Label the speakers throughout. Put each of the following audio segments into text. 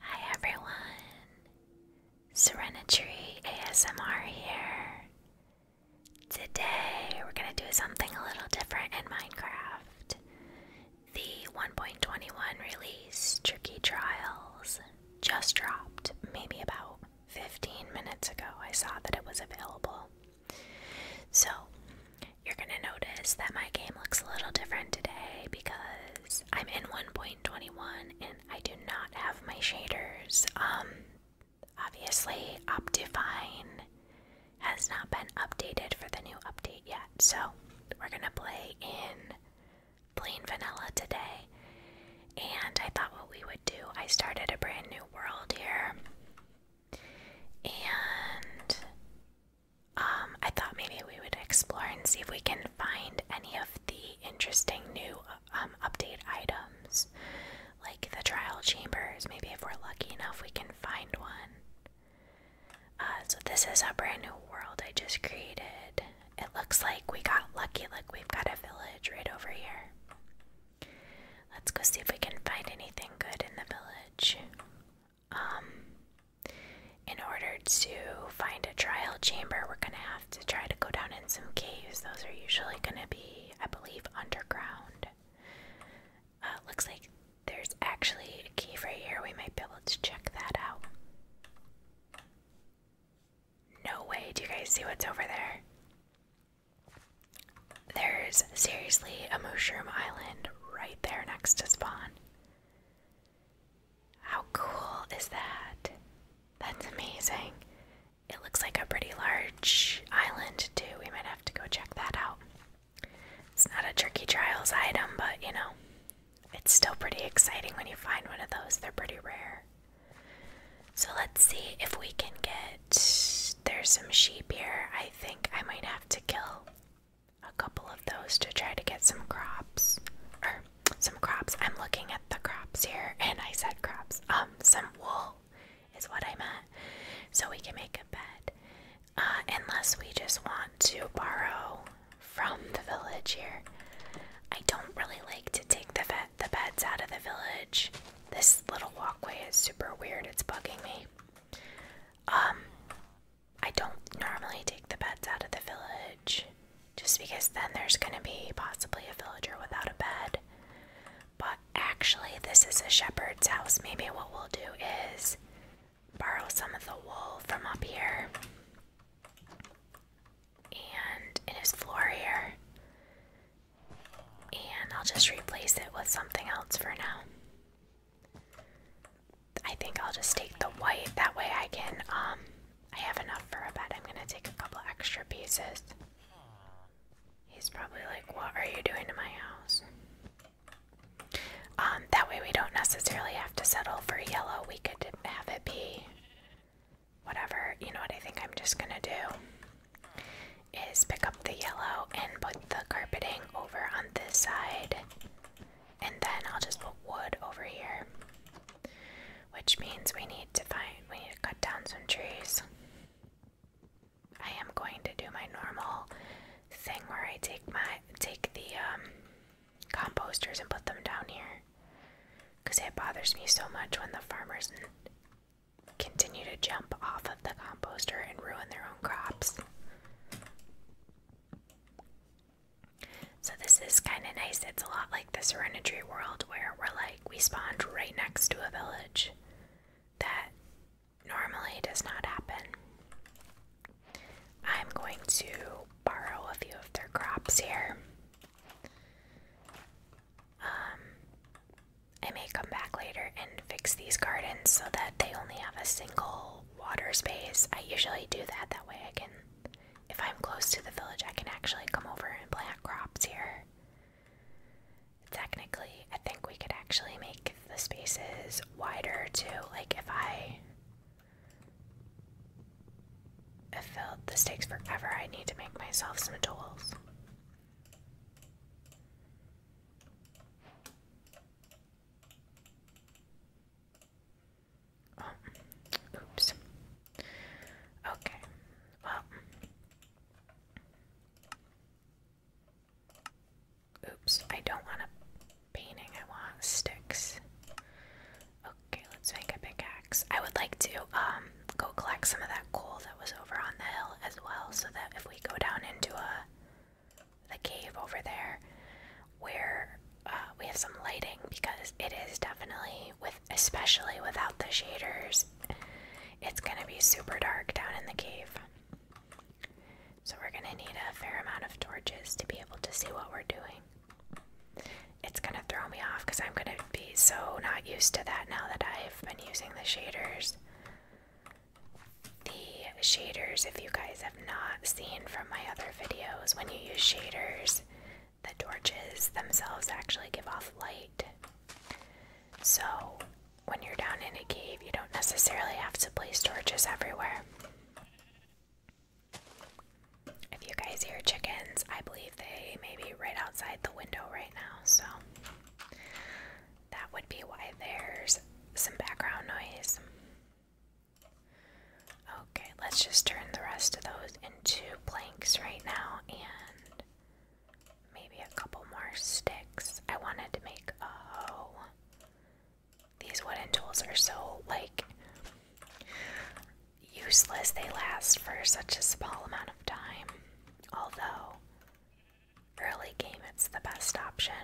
Speaker 1: Hi everyone, Serenity ASMR here. Today we're going to do something a little different in Minecraft. The 1.21 release Tricky Trials just dropped maybe about 15 minutes ago. I saw that it was available. So, you're going to notice that my game looks a little different today because I'm in 1.21 and I do not have my shaders. Um, obviously, Optifine has not been updated for the new update yet, so we're gonna play in plain vanilla today. And I thought what we would do, I started a brand new world here. And um, I thought maybe we would explore and see if we can find any of the interesting new um, update items, like the trial chambers. Maybe if we're lucky enough, we can find one. Uh, so, this is a brand new world I just created. It looks like we got lucky, Look, we've got a village right over here. Let's go see if we can find anything good in the village. Um, in order to find a trial chamber, we're going to have to try to go down in some caves. Those are usually going to be, I believe, underground. Uh, looks like there's actually a cave right here. We might be able to check that out. No way. Do you guys see what's over there? There's seriously a mushroom island right there next to spawn. How cool is that? That's amazing. It looks like a pretty large island, too. We might have to go check that out. It's not a tricky Trials item, but you know, it's still pretty exciting when you find one of those. They're pretty rare. So let's see if we can get. There's some sheep here. I think I might have to kill a couple of those to try to get some crops or some crops. I'm looking at the crops here and I said crops. Um some wool is what I meant. So we can make a bed. Uh, unless we just want to borrow from the village here. I don't really like to take the vet the beds out of the village. This little walkway is super weird. It's bugging me. Um I don't normally take the beds out of the village just because then there's going to be possibly a villager without a bed. But actually, this is a shepherd's house. Maybe what we'll do is borrow some of the wool from up here and it is floor here. And I'll just replace it with something else for now. I think I'll just take the white. That way I can, um, I have enough for a bed. I'm gonna take a couple extra pieces. He's probably like, What are you doing to my house? Um, that way we don't necessarily have to settle for yellow. We could have it be whatever. You know what I think I'm just gonna do is pick up the yellow and put the carpeting over on this side and then I'll just put wood over here. Which means we need to find, we need to cut down some trees. I am going to do my normal thing where I take my, take the um, composters and put them down here. Because it bothers me so much when the farmers continue to jump off of the composter and ruin their own crops. So this is kind of nice. It's a lot like the Serenity world where we're like we spawned right next to a village. That normally does not happen. I'm going to borrow a few of their crops here. Um, I may come back later and fix these gardens so that they only have a single water space. I usually do that, that way I can if I'm close to the village, I can actually come over and plant crops here. Technically, I think we could actually make the spaces wider too. Like if I have filled the forever, I need to make myself some tools. Oh. oops. Okay, well. Oops, I don't want a painting, I want sticks. Okay, let's make a pickaxe. I would like to um go collect some of that coal that was over on the hill as well so that if we go down into a the cave over there, where uh, we have some lighting because it is definitely with especially without the shaders it's gonna be super dark down in the cave so we're gonna need a fair amount of torches to be able to see what we're doing it's gonna throw me off because i'm gonna be so not used to that now that i've been using the shaders the shaders if you guys have not seen from my other videos when you use shaders the torches themselves actually give off light. So, when you're down in a cave, you don't necessarily have to place torches everywhere. If you guys hear chickens, I believe they may be right outside the window right now, so that would be why there's some background noise. Okay, let's just turn the rest of those into planks right now and maybe a couple more sticks. I wanted to make a hoe. These wooden tools are so, like, useless. They last for such a small amount of time. Although, early game, it's the best option.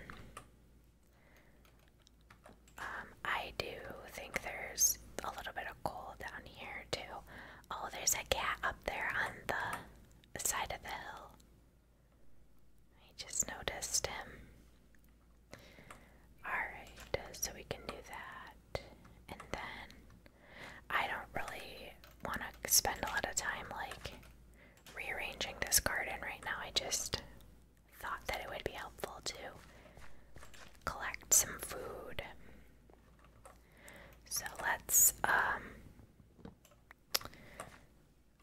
Speaker 1: Um, I do think there's a little bit of coal down here too. Oh, there's a cat up there on the side of the hill. I just noticed him. Alright, so we can do that. And then I don't really want to spend a lot of time like rearranging this garden right now. I just thought that it would be helpful to collect some food. So let's, um,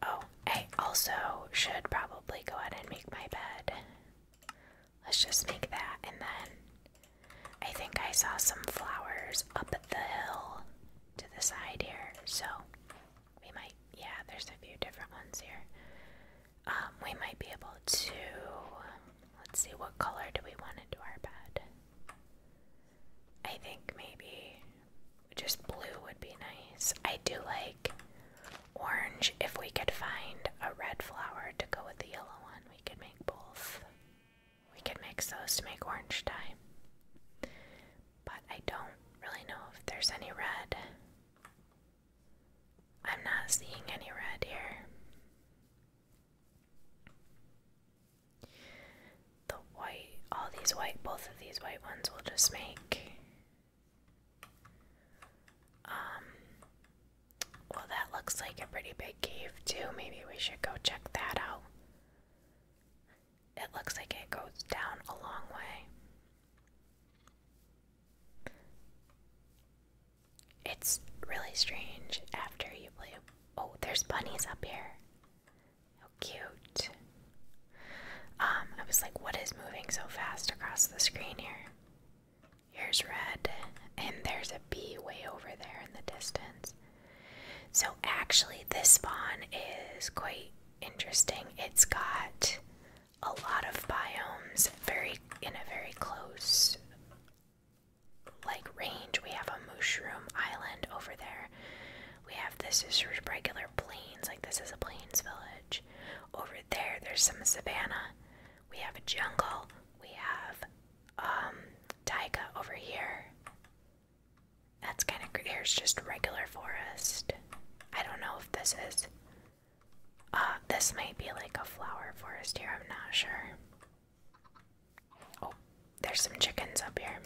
Speaker 1: oh, I also should probably go ahead and make my bed. Let's just make that, and then I think I saw some flowers up at the hill to the side here, so we might, yeah, there's a few different ones here um, we might be able to. Let's see, what color do we want into our bed? I think maybe just blue would be nice. I do like orange. If we could find a red flower to go with the yellow one, we could make both. We could mix those to make orange dye. But I don't really know if there's any red. I'm not seeing any red here. The white, all these white, both of these white ones will just make. Um, well, that looks like a pretty big cave, too. Maybe we should go check that out. It looks like it goes down a long way. It's really strange after you play. Oh, there's bunnies up here. How cute. Um, I was like, what is moving so fast across the screen here? Here's red, and there's a bee way over there in the distance. So, actually, this spawn is quite interesting. It's got a lot of biomes very in a very close like range. We have a mushroom island over there. We have this is regular plains, like this is a plains village. Over there, there's some savannah. We have a jungle. We have um taiga over here. That's kind of here's just regular forest. I don't know if this is uh, this might be like a flower forest here, I'm not sure. Oh, there's some chickens up here.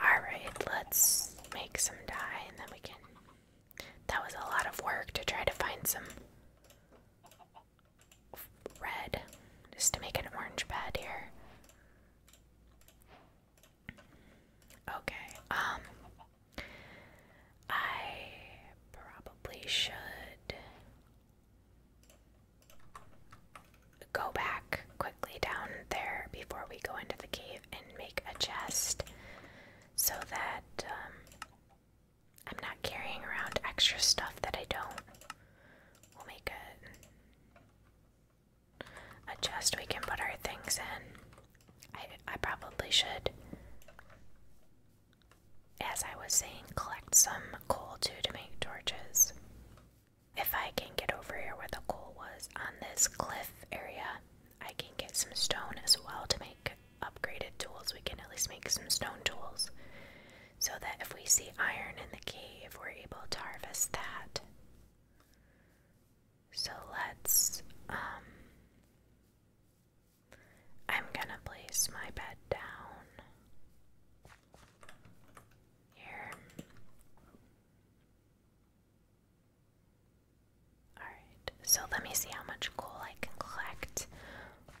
Speaker 1: Alright, let's make some dye and then we can. That was a lot of work to try to find some red just to make an orange bed here. Okay, um, I probably should go back quickly down there before we go into the cave and make a chest so that um, I'm not carrying around extra stuff that I don't. We'll make a, a chest we can put our things in. I, I probably should as I was saying, collect some coal too to make torches. If I can get over here where the coal was on this cliff area, I can get some stone as well to make upgraded tools. We can at least make some stone tools so that if we see iron in the cave, we're able to harvest that. So let's um, I'm gonna place my bed down here. Alright, so let me see how much coal I can collect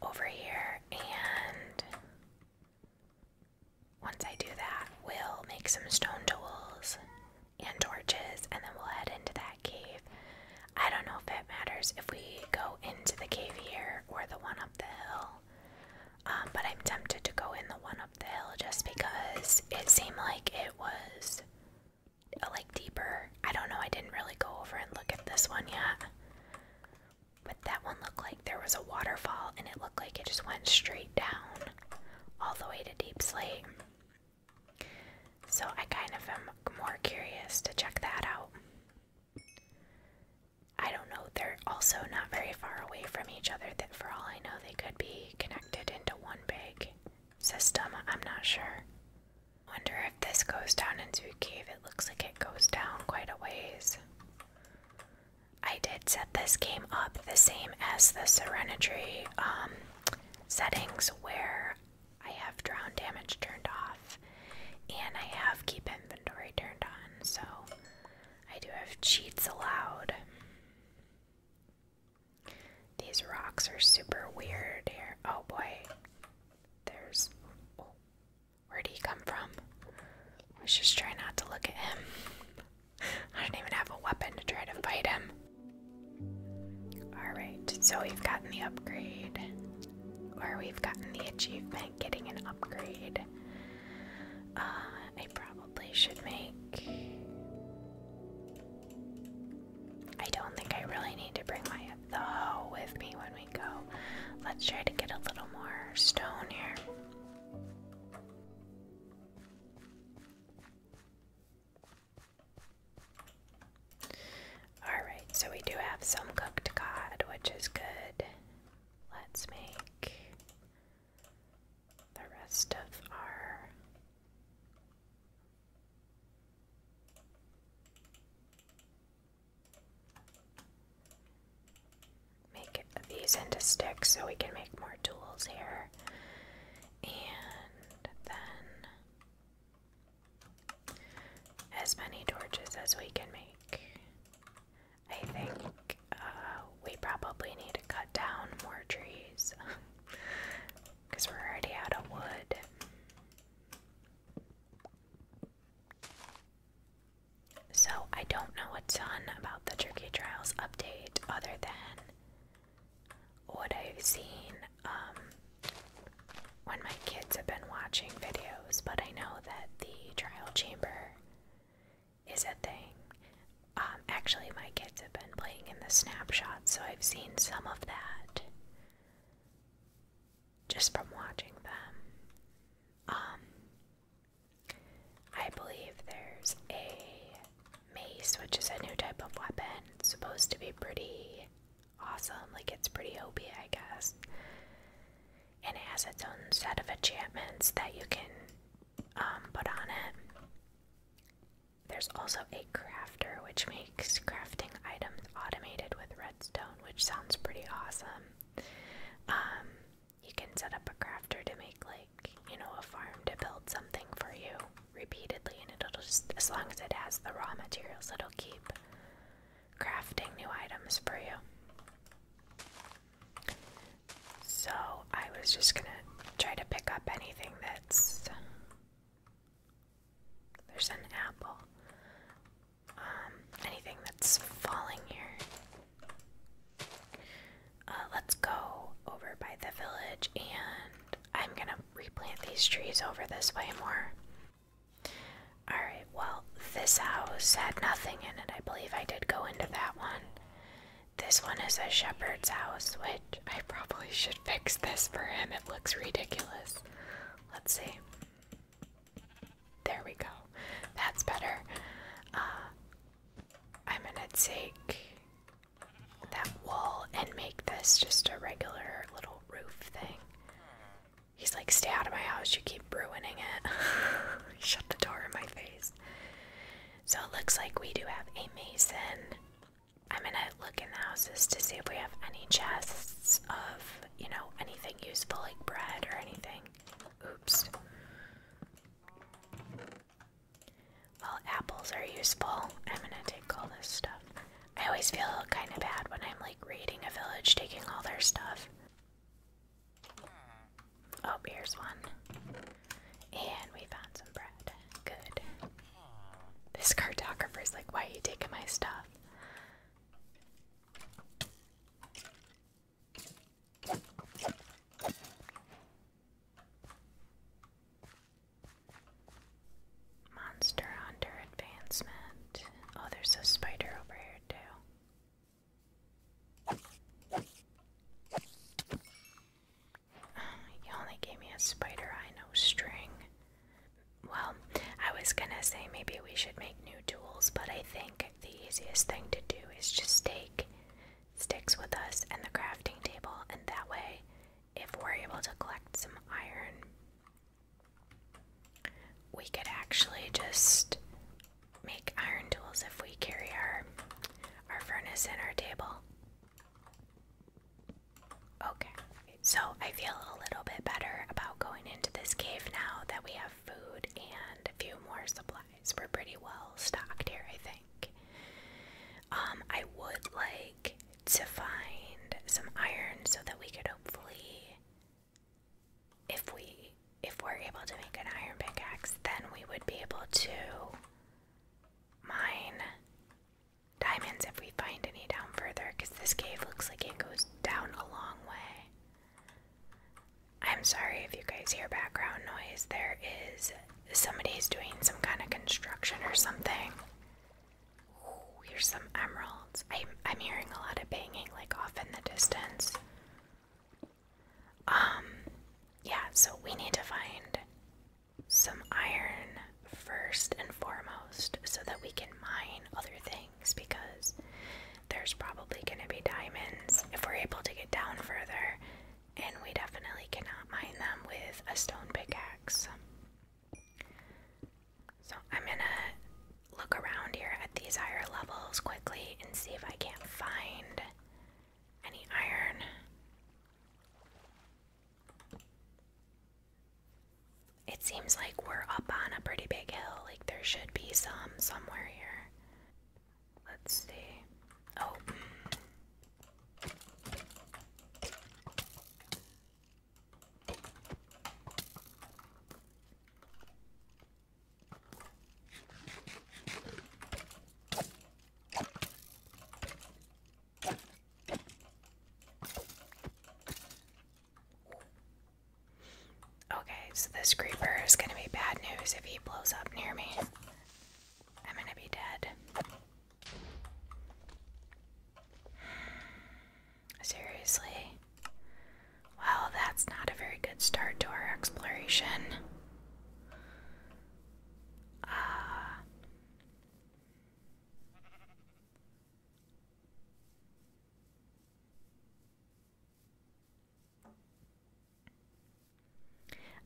Speaker 1: over here, and once I do that, we'll make some stone tools and torches, and then we'll head into that cave. I don't know if it matters if we go into the cave here or the one up the hill. Um, but I'm tempted to go in the one up the hill just because it seemed like it was uh, like deeper. I don't know, I didn't really go over and look at this one yet. But that one looked like there was a waterfall and it looked like it just went straight down all the way to deep slate. So I kind of am more curious to check that out. I don't know, they're also not very far away from each other that for all I know they could be connected into one big system. I'm not sure. Wonder if this goes down into a cave. It looks like it goes down quite a ways. I did set this game up the same as the Serenity um, settings where I have drown damage turned off, and I have keep inventory turned on, so I do have cheats allowed. These rocks are super weird here. Oh boy. There's. Oh, where'd he come from? Let's just try not to look at him. I don't even have a weapon to try to fight him. Alright, so we've gotten the upgrade. Or we've gotten the achievement getting an upgrade. Uh, I probably should make. I don't think I really need to bring my though with me when we go. Let's try to get a little more stone here. Alright, so we do have some cooked cod, which is good. Let's make the rest of our. Make these into sticks so we can make more tools here. And then as many torches as we can make. I think uh, we probably need to cut down more trees because we're already out of wood. So, I don't know what's ton about the Turkey Trials update other than what I've seen um, when my kids have been watching videos, but I know that the trial chamber is a thing. Um, actually, my kids have been playing in the snapshots, so I've seen some of that just from watching them. Um, I believe there's a mace, which is a new type of weapon, supposed to be pretty awesome. Like it's pretty OP, I guess. And it has its own set of enchantments that you can um, put on it. There's also a crafter, which makes crafting items automated with redstone, which sounds pretty awesome. Um, you can set up a crafter to make, like, you know, a farm to build something for you repeatedly, and it'll just, as long as it has the raw materials, it'll keep crafting new items for you. So I was just gonna try to pick up anything that's. There's an apple. Um, anything that's falling here. Uh, let's go over by the village, and I'm gonna replant these trees over this way more. Alright, well, this house had nothing in it. I believe I did go into that one. This one is a shepherd's house, which I probably should fix this for him. It looks ridiculous. Let's see. There we go. That's better. Uh, I'm gonna take that wall and make this just a regular little roof thing. He's like, Stay out of my house, you keep ruining it. Shut the door in my face. So it looks like we do have a mason. I'm gonna look in the houses to see if we have any chests of, you know, anything useful like bread or anything. Oops. Well, apples are useful. I'm gonna take all this stuff. I always feel kind of bad when I'm like raiding a village, taking all their stuff. Oh, here's one. And we found some bread. Good. This cartographer is like, why are you taking my stuff? Monster Hunter Advancement. Oh, there's a spider over here, too. Oh, you only gave me a spider, I know, string. Well, I was gonna say maybe we should make new tools, but I think the easiest thing to do is just take sticks with us and the crafting table, and that way, if we're able to collect some iron we could actually just make iron tools if we carry our our furnace and our table. Okay. So I feel a little bit better about going into this cave now that we have food and a few more supplies. We're pretty well stocked here, I think. Um, I would like to find some iron so that we could hopefully if we if we're able to make an iron pickaxe, then we would be able to mine diamonds if we find any down further because this cave looks like it goes down a long way. I'm sorry if you guys hear background noise. There is somebody's doing some kind of construction or something. Oh, here's some emeralds. I'm, I'm hearing a lot of banging, like off in the distance. Um, yeah, so we need to find some iron first and foremost so that we can mine other things because there's probably going to be diamonds if we're able to get down further, and we definitely cannot mine them with a stone pickaxe. So I'm gonna look around here at these higher levels quickly and see if I can't find any iron. It seems like we're up on a pretty big hill, like there should be some somewhere here. Let's see. Oh. Okay, so this creeper is going to be bad news if he blows up near me. I'm going to be dead. Seriously? Well, that's not a very good start to our exploration. Ah.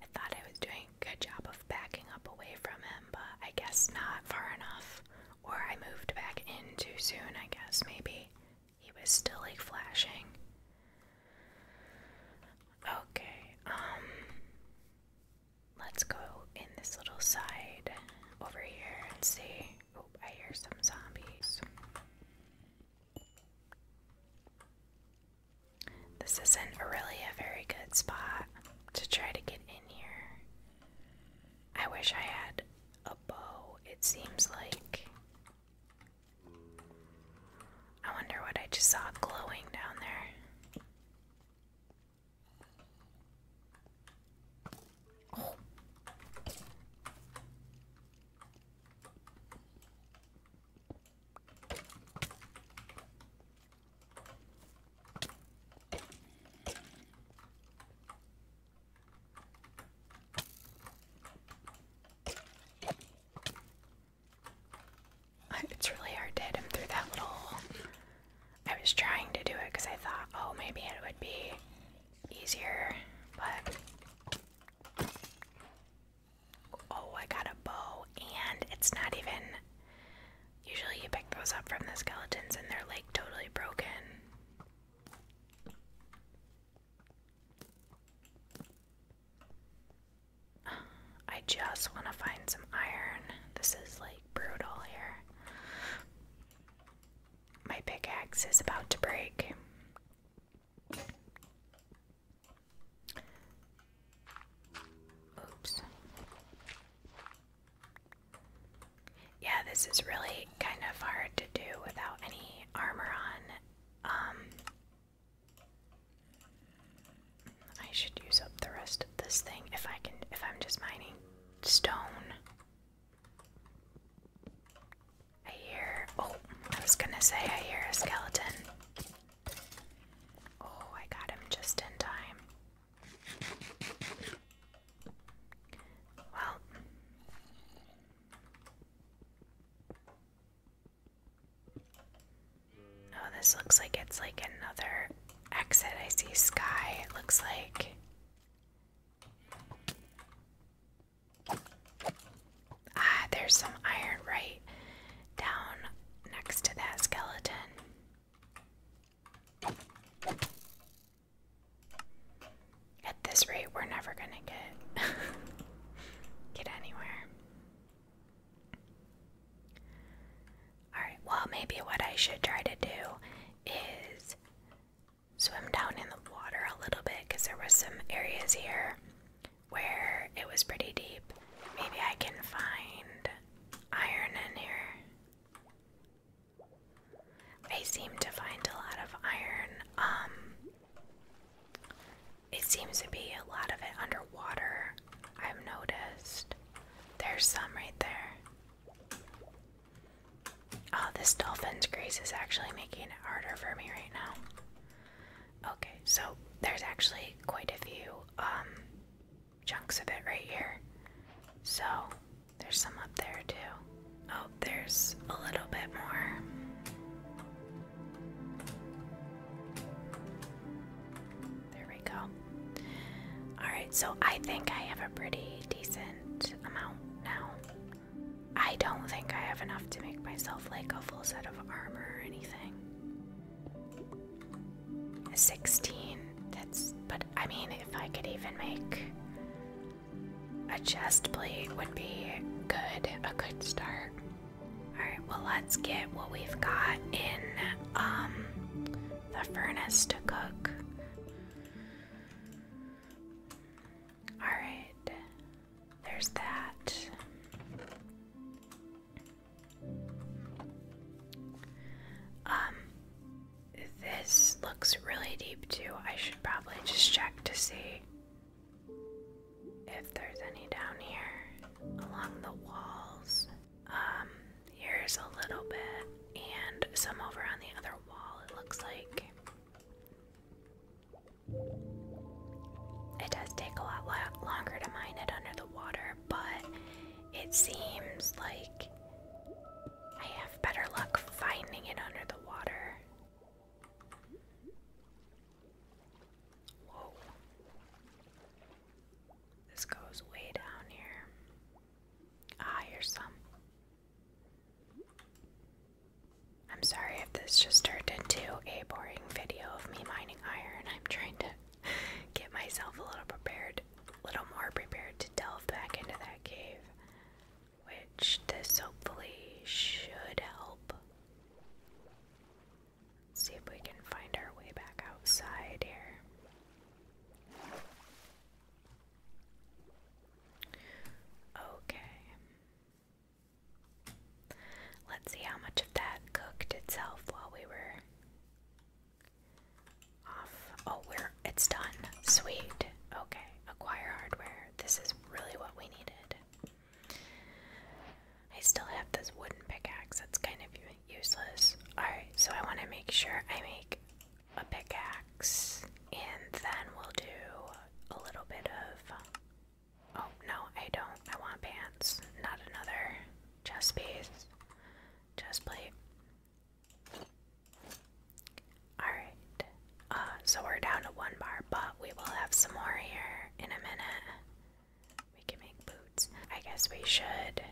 Speaker 1: I thought I was doing a good job of backing up away from him, but I guess not far enough. Or I moved back in too soon, I guess, maybe. He was still like flashing. Okay, um let's go in this little side over here and see. Oh, I hear some zombies. This isn't really a very good spot to try to get in here. I wish I had a bow. It seems like. I wonder what I just saw glowing down there. It's really hard to through that little I was trying to do it because I thought, oh, maybe it would be easier, but. Oh, I got a bow, and it's not even. Usually you pick those up from the skeletons and they're like totally broken. I just want to find some iron. This is like brutal here. My pickaxe is about to break. Oops. Yeah, this is really kind of hard to do without any armor on. Um, I should use up the rest of this thing if I can, if I'm just mining stone. I hear, oh, I was gonna say I hear a skeleton. Oh, I got him just in time. Well, Oh, this looks like it's like another exit. I see sky, it looks like. Ah, there's some iron right down next to that skeleton. At this rate, we're never gonna get get anywhere. Alright, well maybe what I should try to do is swim down in the water a little bit because there was some areas here where it was pretty deep. Maybe I can find iron in here. I seem to find a lot of iron. Um it seems to be a lot of it underwater. I've noticed. There's some right there. Oh, this dolphin's grace is actually making it harder for me right now. Okay, so there's actually quite a few um, chunks of it right here. So there's some up there too. Oh, there's a little bit more. There we go. Alright, so I think I have a pretty decent amount now. I don't think I have enough to make myself like a full set of armor or anything. 16, that's, but I mean, if I could even make a chest plate would be good, a good start. Alright, well let's get what we've got in um, the furnace to cook. Alright, there's that. Um this looks really deep too. I should probably just check to see if there's any down here along the walls. Um, here's a little bit, and some over on the other wall, it looks like. It does take a lot longer to mine it under the water, but it seems like I have better luck finding it under the water Whoa. This goes way down here. Ah, some. I'm sorry if this just turned into a boring video of me mining iron. I'm trying to get myself a little prepared, a little more prepared to delve back into that cave which this hopefully should help. see if we can find our way back outside here. Okay. Let's see how much of that cooked itself while we were off. Oh, we're it's done. Sweet. Okay. Acquire hardware. This is really what we needed. I still have this wooden pickaxe that's kind of useless. Alright, so I want to make sure I make a pickaxe and then we'll do a little bit of. Oh, no, I don't. I want pants, not another chest piece, chest plate. Alright, uh, so we're down to one bar, but we will have some more here in a minute. We can make boots. I guess we should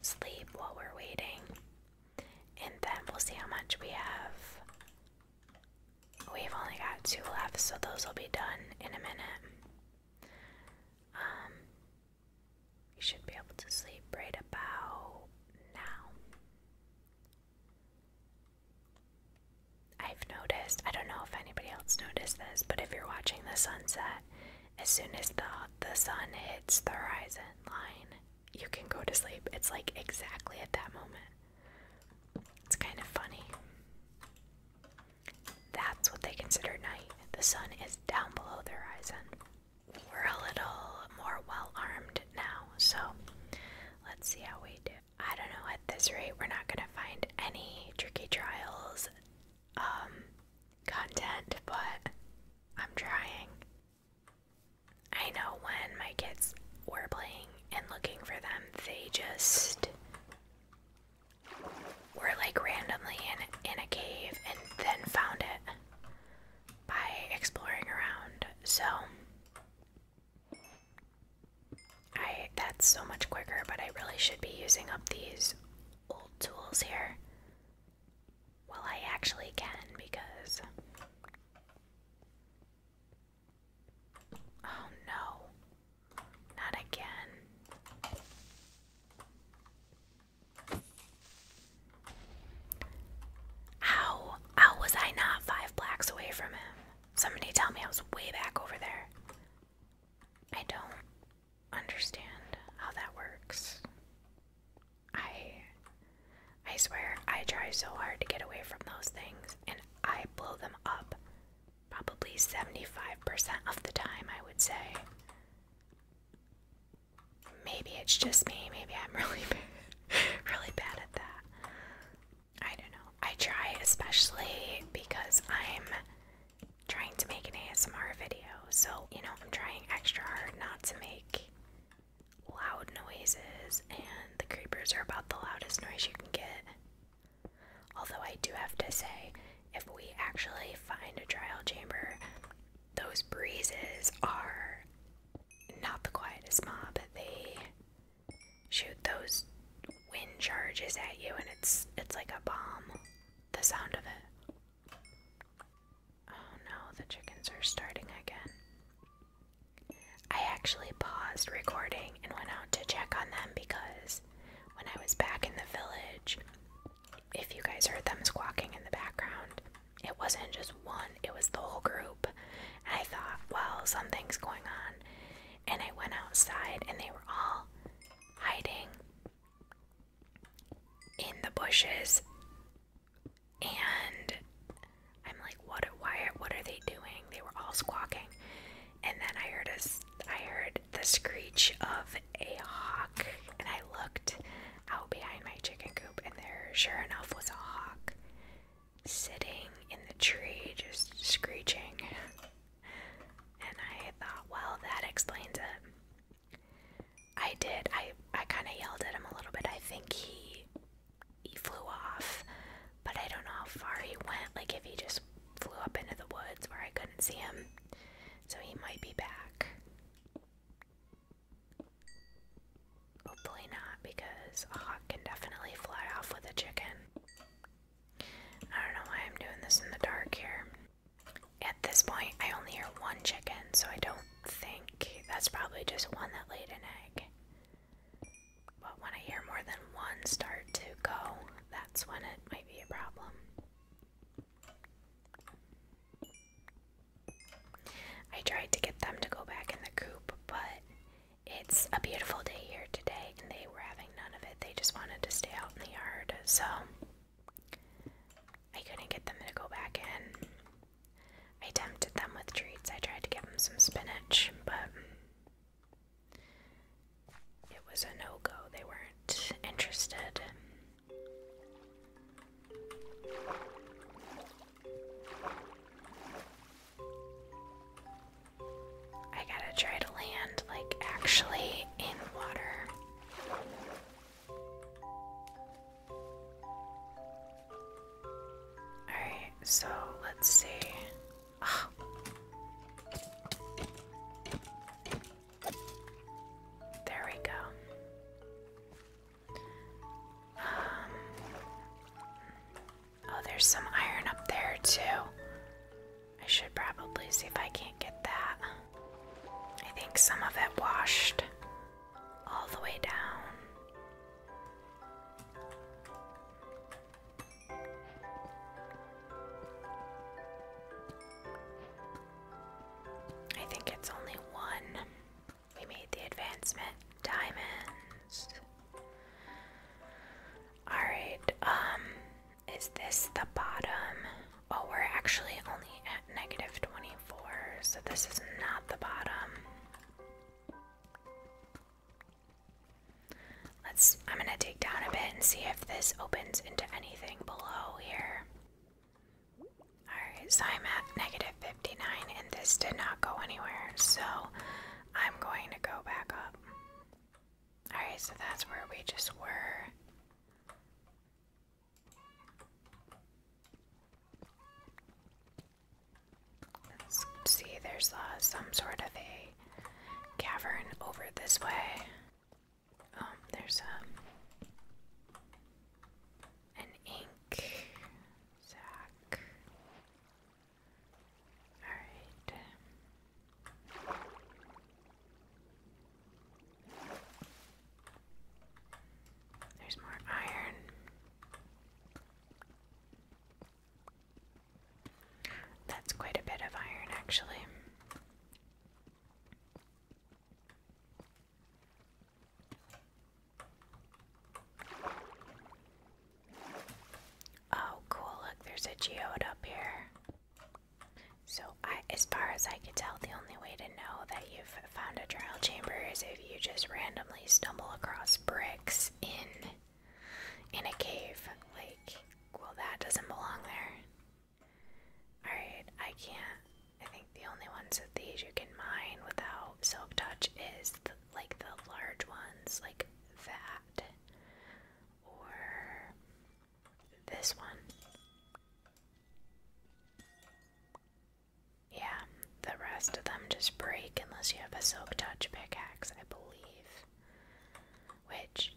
Speaker 1: sleep while we're waiting. And then we'll see how much we have. We've only got two left, so those will be done in a minute. Um, we should be able to sleep right about now. I've noticed, I don't know if anybody else noticed this, but if you're watching the sunset, as soon as the, the sun hits the horizon line, you can go to sleep. It's like exactly at that moment. It's kind of funny. That's what they consider night. The sun is down below the horizon. We're a little more well armed now, so let's see how we do. I don't know, at this rate, we're not gonna find any tricky trials um content, but I'm trying. I know when my kids were playing and looking for them, they just were like randomly in in a cave and then found it by exploring around. So I that's so much quicker, but I really should be using up these old tools here. Well, I actually can because Oh no. Not again. How how was I not five blacks away from him? Somebody tell me I was way back over there. I don't understand how that works. I I swear I try so hard to get away from those things and I blow them up probably 75% of the time, I would say. Maybe it's just me. Maybe I'm really bad, really bad at that. I don't know. I try, especially because I'm trying to make an ASMR video. So, you know, I'm trying extra hard not to make loud noises, and the creepers are about the loudest noise you can get. Although, I do have to say, if we actually find a trial chamber, those breezes are not the quietest mob. They shoot those wind charges at you and it's it's like a bomb. The sound of it. Oh no, the chickens are starting again. I actually paused recording and went out to check on them because when I was back in the village, if you guys heard them squawking in the background, it wasn't just one, it was the whole group. I thought, well, something's going on and I went outside, and they were all hiding in the bushes. And I'm like, what? Why? What are they doing? They were all squawking, and then I heard a, I heard the screech of a hawk, and I looked out behind my chicken coop, and there, sure enough, was a hawk sitting in the tree just screeching. And I thought, well, that explains it. I did. I, I kind of yelled at him a little bit. I think he, he flew off, but I don't know how far he went. Like, if he just flew up into the woods where I couldn't see him. So he might be back. Hopefully not, because a hawk can definitely fly off with a chicken. I don't know why I'm doing this in the dark here. At this point, I only hear one chicken, so I don't think that's probably just one that laid an egg. But when I hear more than one start to go, that's when it might be a problem. I tried to get them to go back in the coop, but it's a beautiful day here today, and they were having none of it. They just wanted to stay out in the yard, so I couldn't get them to go back in. I tempted them with treats. I tried to give them some spinach, but it was a no go. They weren't interested. I gotta try to land, like, actually in water. Alright, so let's see. There we go. Um, Oh, there's some iron up there too. I should probably see if I can't get that. I think some of it washed all the way down. I think it's only one. We made the advancement. Diamonds. Alright, um, is this the bottom? Oh, we're actually only at negative 24, so this is not the bottom. Let's, I'm gonna dig down a bit and see if this opens into anything below here. Alright, so I'm at negative 59 and this did not go anywhere, so I'm going to go back up. Alright, so that's where we just were. Let's see, there's uh, some sort of a cavern over this way. Um, there's um, an ink sack. Alright. Um. There's more iron. That's quite a bit of iron, actually. Oh, cool. Look, there's a geode up here. So, as far as I could tell, the only way to know that you've found a trial chamber is if you just randomly stumble across bricks in in a cave. Like, well, that doesn't belong there. All right, I can't. I think the only ones of these you can mine without Silk touch is the, like the large ones, like that, or this one. Yeah, the rest of them just break unless you have a silk touch pickaxe, I believe. Which,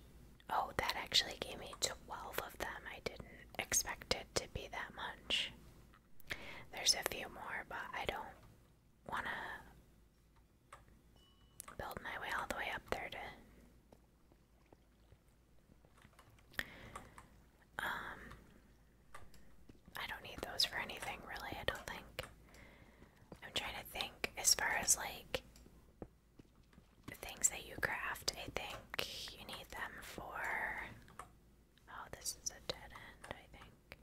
Speaker 1: oh, that actually gave me 12 of them. I didn't expect it to be that much. There's a few more, but I don't want to build my way all the way up there Um. I don't need those for anything, really, I don't think. I'm trying to think as far as like things that you craft, I think you need them for. Oh, this is a dead end, I think.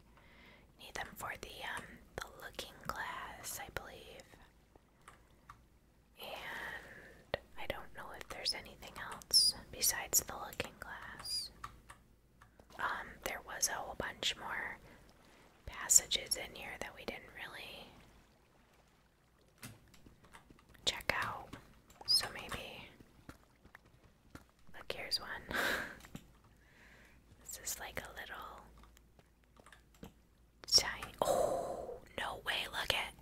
Speaker 1: need them for the um the looking glass, I believe. And I don't know if there's anything else besides the looking glass. Um, there was a whole bunch more passages in here that we didn't really check out. So maybe look here's one. this is like a little Oh, no way. Look at.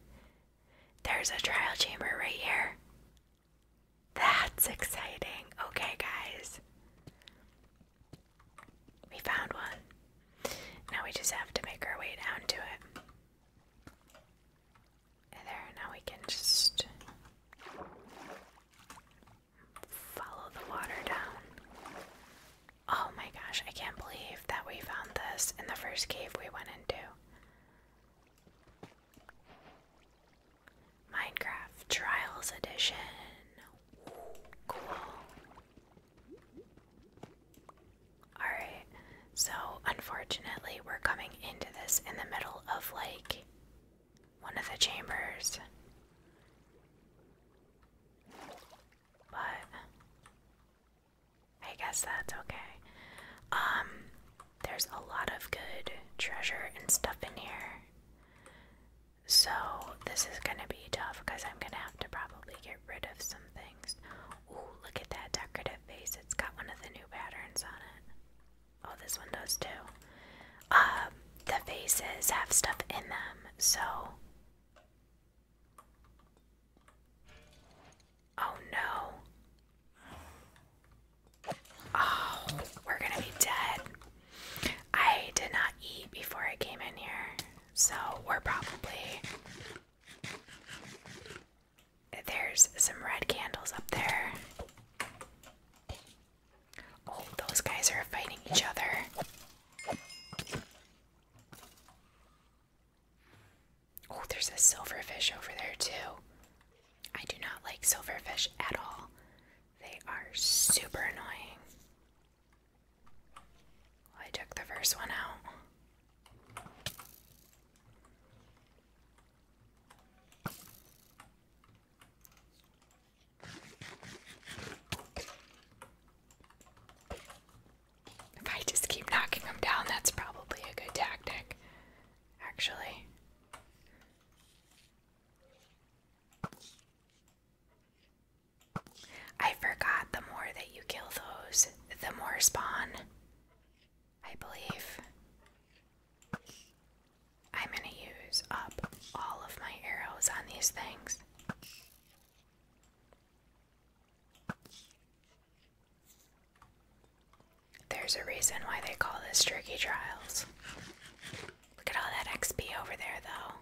Speaker 1: There's a trial chamber right here. That's exciting. Okay, guys. We found one. Now we just have to make our way down to it. there, now we can just follow the water down. Oh my gosh, I can't believe that we found this in the first cave we went into. Minecraft Trials Edition. cool. Alright, so unfortunately, we're coming into this in the middle of like one of the chambers but I guess that's okay. Um, there's a lot of good treasure and stuff in here. So this is gonna be tough because I'm gonna have to probably get rid of some things. Ooh, look at that decorative face. It's got one of the new patterns on it. Oh, this one does too. Um, the faces have stuff in them, so Oh no. Oh, we're gonna be dead. I did not eat before I came in here, so we're probably. There's some red candles up there. Oh, those guys are fighting each other. Oh, there's a silverfish over there, too. I do not like silverfish at all, they are super annoying. I took the first one out. If I just keep knocking them down, that's probably a good tactic, actually. I forgot the more that you kill those, the more spawn, I believe. I'm gonna use up all of my arrows on these things. There's a reason why they call this Tricky Trials. Look at all that XP over there, though.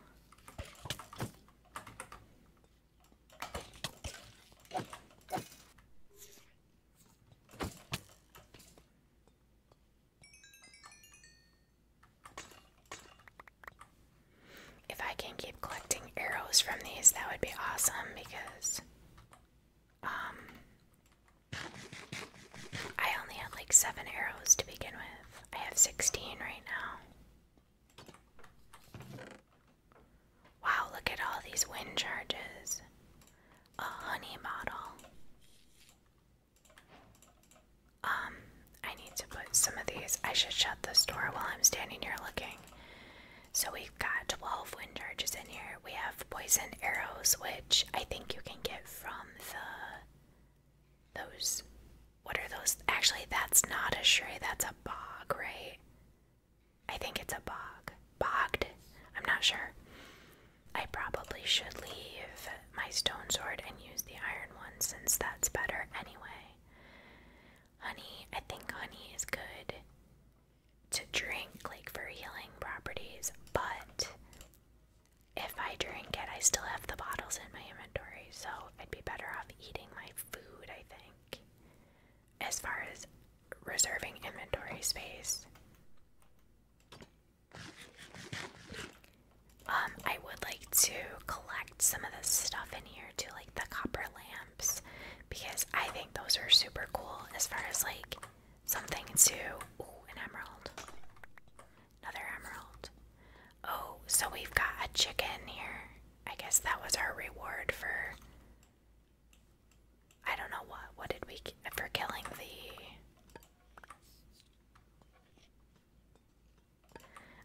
Speaker 1: If I can keep collecting arrows from these, that would be awesome because um I only had like seven arrows to begin with. I have 16 right now. Wow, look at all these wind charges. A honey model. Um, I need to put some of these. I should shut the store while I'm standing here looking. So we've got 12 wind charges in here. We have poison arrows, which I think you can get from the those what are those? Actually, that's not a shrey, that's a bog, right? I think it's a bog. Bogged? I'm not sure. I probably should leave my stone sword and use the iron one since that's better anyway honey. I think honey is good to drink, like for healing properties, but if I drink it, I still have the bottles in my inventory, so I'd be better off eating my food, I think. As far as reserving inventory space, um, I would like to collect some of this stuff in here here like the copper lamps, because I think those are super cool as far as like something to. Ooh, an emerald. Another emerald. Oh, so we've got a chicken here. I guess that was our reward for. I don't know what. What did we. for killing the.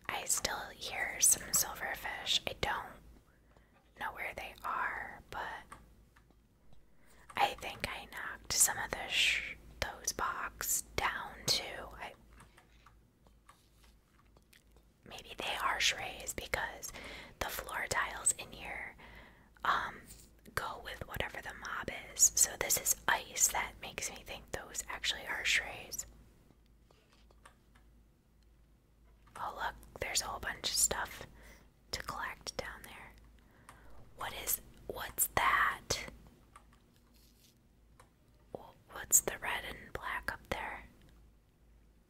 Speaker 1: I still hear some silverfish. I don't know where they are, but I think I knocked some of those boxes down too. maybe they are shreys because the floor tiles in here um, go with whatever the mob is. So this is ice that makes me think those actually are shreys. Oh, look, there's a whole bunch of stuff to collect down there. What is. What's that? What's the red and black up there?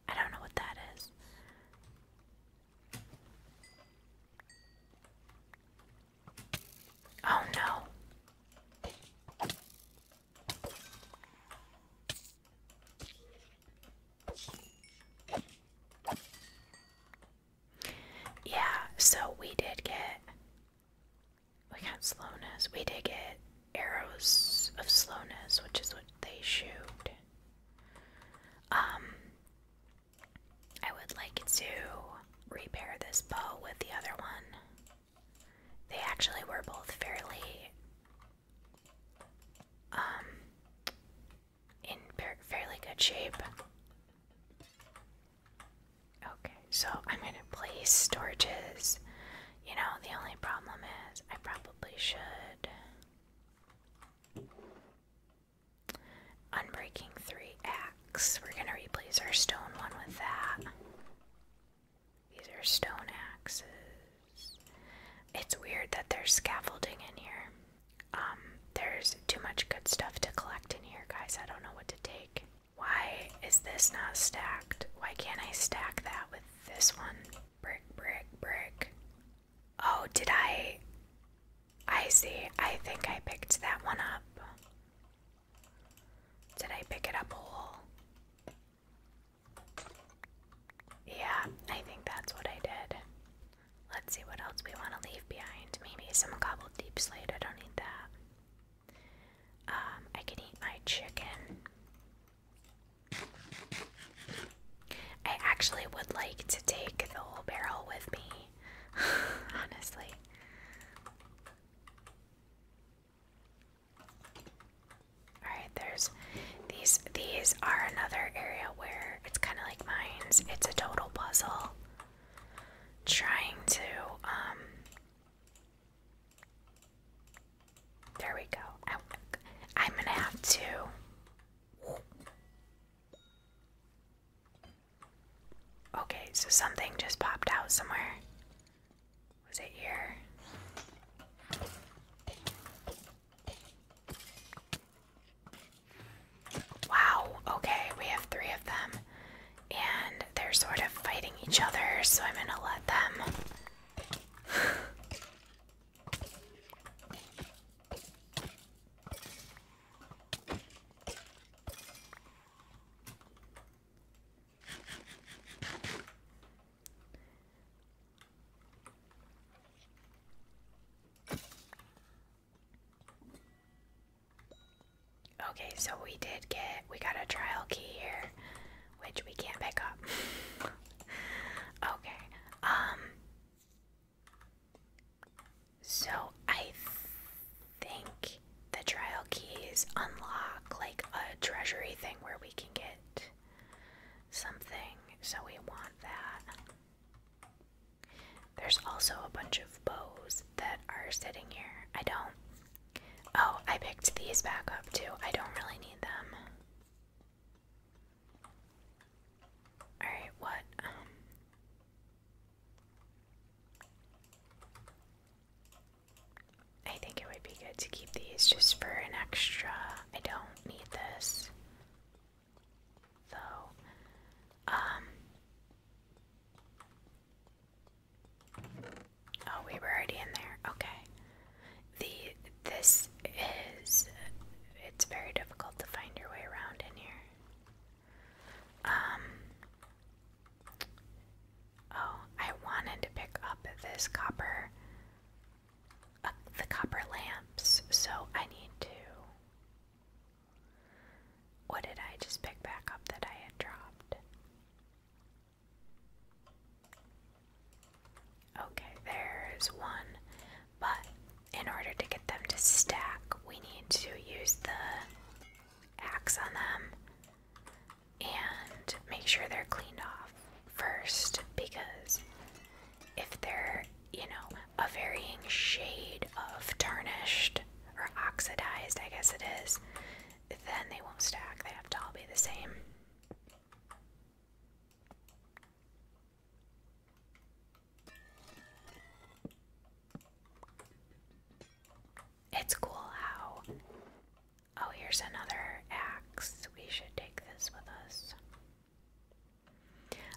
Speaker 1: I don't know what that is. Oh no. Yeah, so we did get. We got slowness. We did get arrows of slowness, which is what they shoot. Um, I would like to repair this bow with the other one. They actually were both fairly um in fairly good shape. Okay, so I'm gonna place storages. You know, the only problem is I probably should Unbreaking three axe. We're gonna replace our stone one with that. These are stone axes. It's weird that there's scaffolding in here. Um, there's too much good stuff to collect in here, guys. I don't know what to take. Why is this not stacked? Why can't I stack that with this one? Brick, brick, brick. Oh, did I? I see. I think I picked that one up. Did I pick it up whole? Yeah, I think that's what I did. Let's see what else we want to leave behind. Maybe some gobbled deep slate. I don't need that. Um, I can eat my chicken. I actually would like to take the whole barrel with me, honestly. Alright, there's these these are another area where it's kinda like mines. It's a total puzzle. Trying to um there we go. I, I'm gonna have to Okay, so something just popped out somewhere. Was it here? Wow, okay, we have three of them. And they're sort of fighting each other, so I'm gonna let them. Okay, so we did get, we got a trial key here, which we can't pick up. okay, um, so I think the trial keys unlock like a treasury thing where we can get something, so we want that. There's also a bunch of bows that are sitting here. I don't. Oh, I picked these back up too. I don't really need them. Alright, what? Um, I think it would be good to keep these just for an extra. I don't need this. Though, um, oh, we were already in there. Okay, the this is it's very difficult to find your way around in here. Um, oh, I wanted to pick up this copper the copper lamps, so I need to. What did I just pick back up that I had dropped? Okay, there's one. But in order to get them to stack, we need to use the axe on them and make sure they're cleaned off first because if they're, you know, a varying shade of tarnished or oxidized, I guess it is, then they won't stack. They have to all be the same. It's cool how Oh, here's another axe. We should take this with us.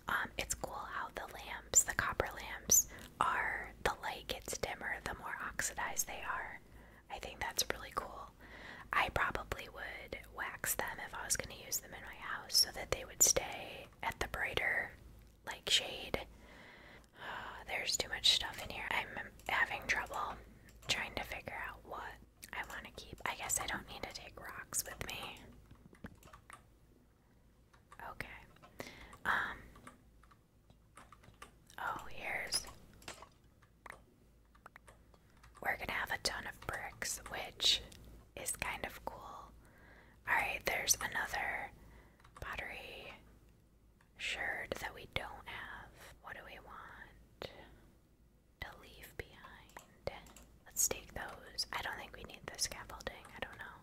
Speaker 1: Um, it's cool how the lamps, the copper lamps, are the light gets dimmer the more oxidized they are. I think that's really cool. I probably would wax them if I was going to use them in my house so that they would stay at the brighter like shade. there's too much stuff in here. I'm having trouble trying to figure out what I want to keep. I guess I don't need to take rocks with me. Okay. Um. Oh, here's. We're gonna have a ton of bricks, which is kind of cool. Alright, there's another pottery shard that we don't have. What do we want? to leave behind. Let's take those. I don't think we need the scaffolding. I don't know.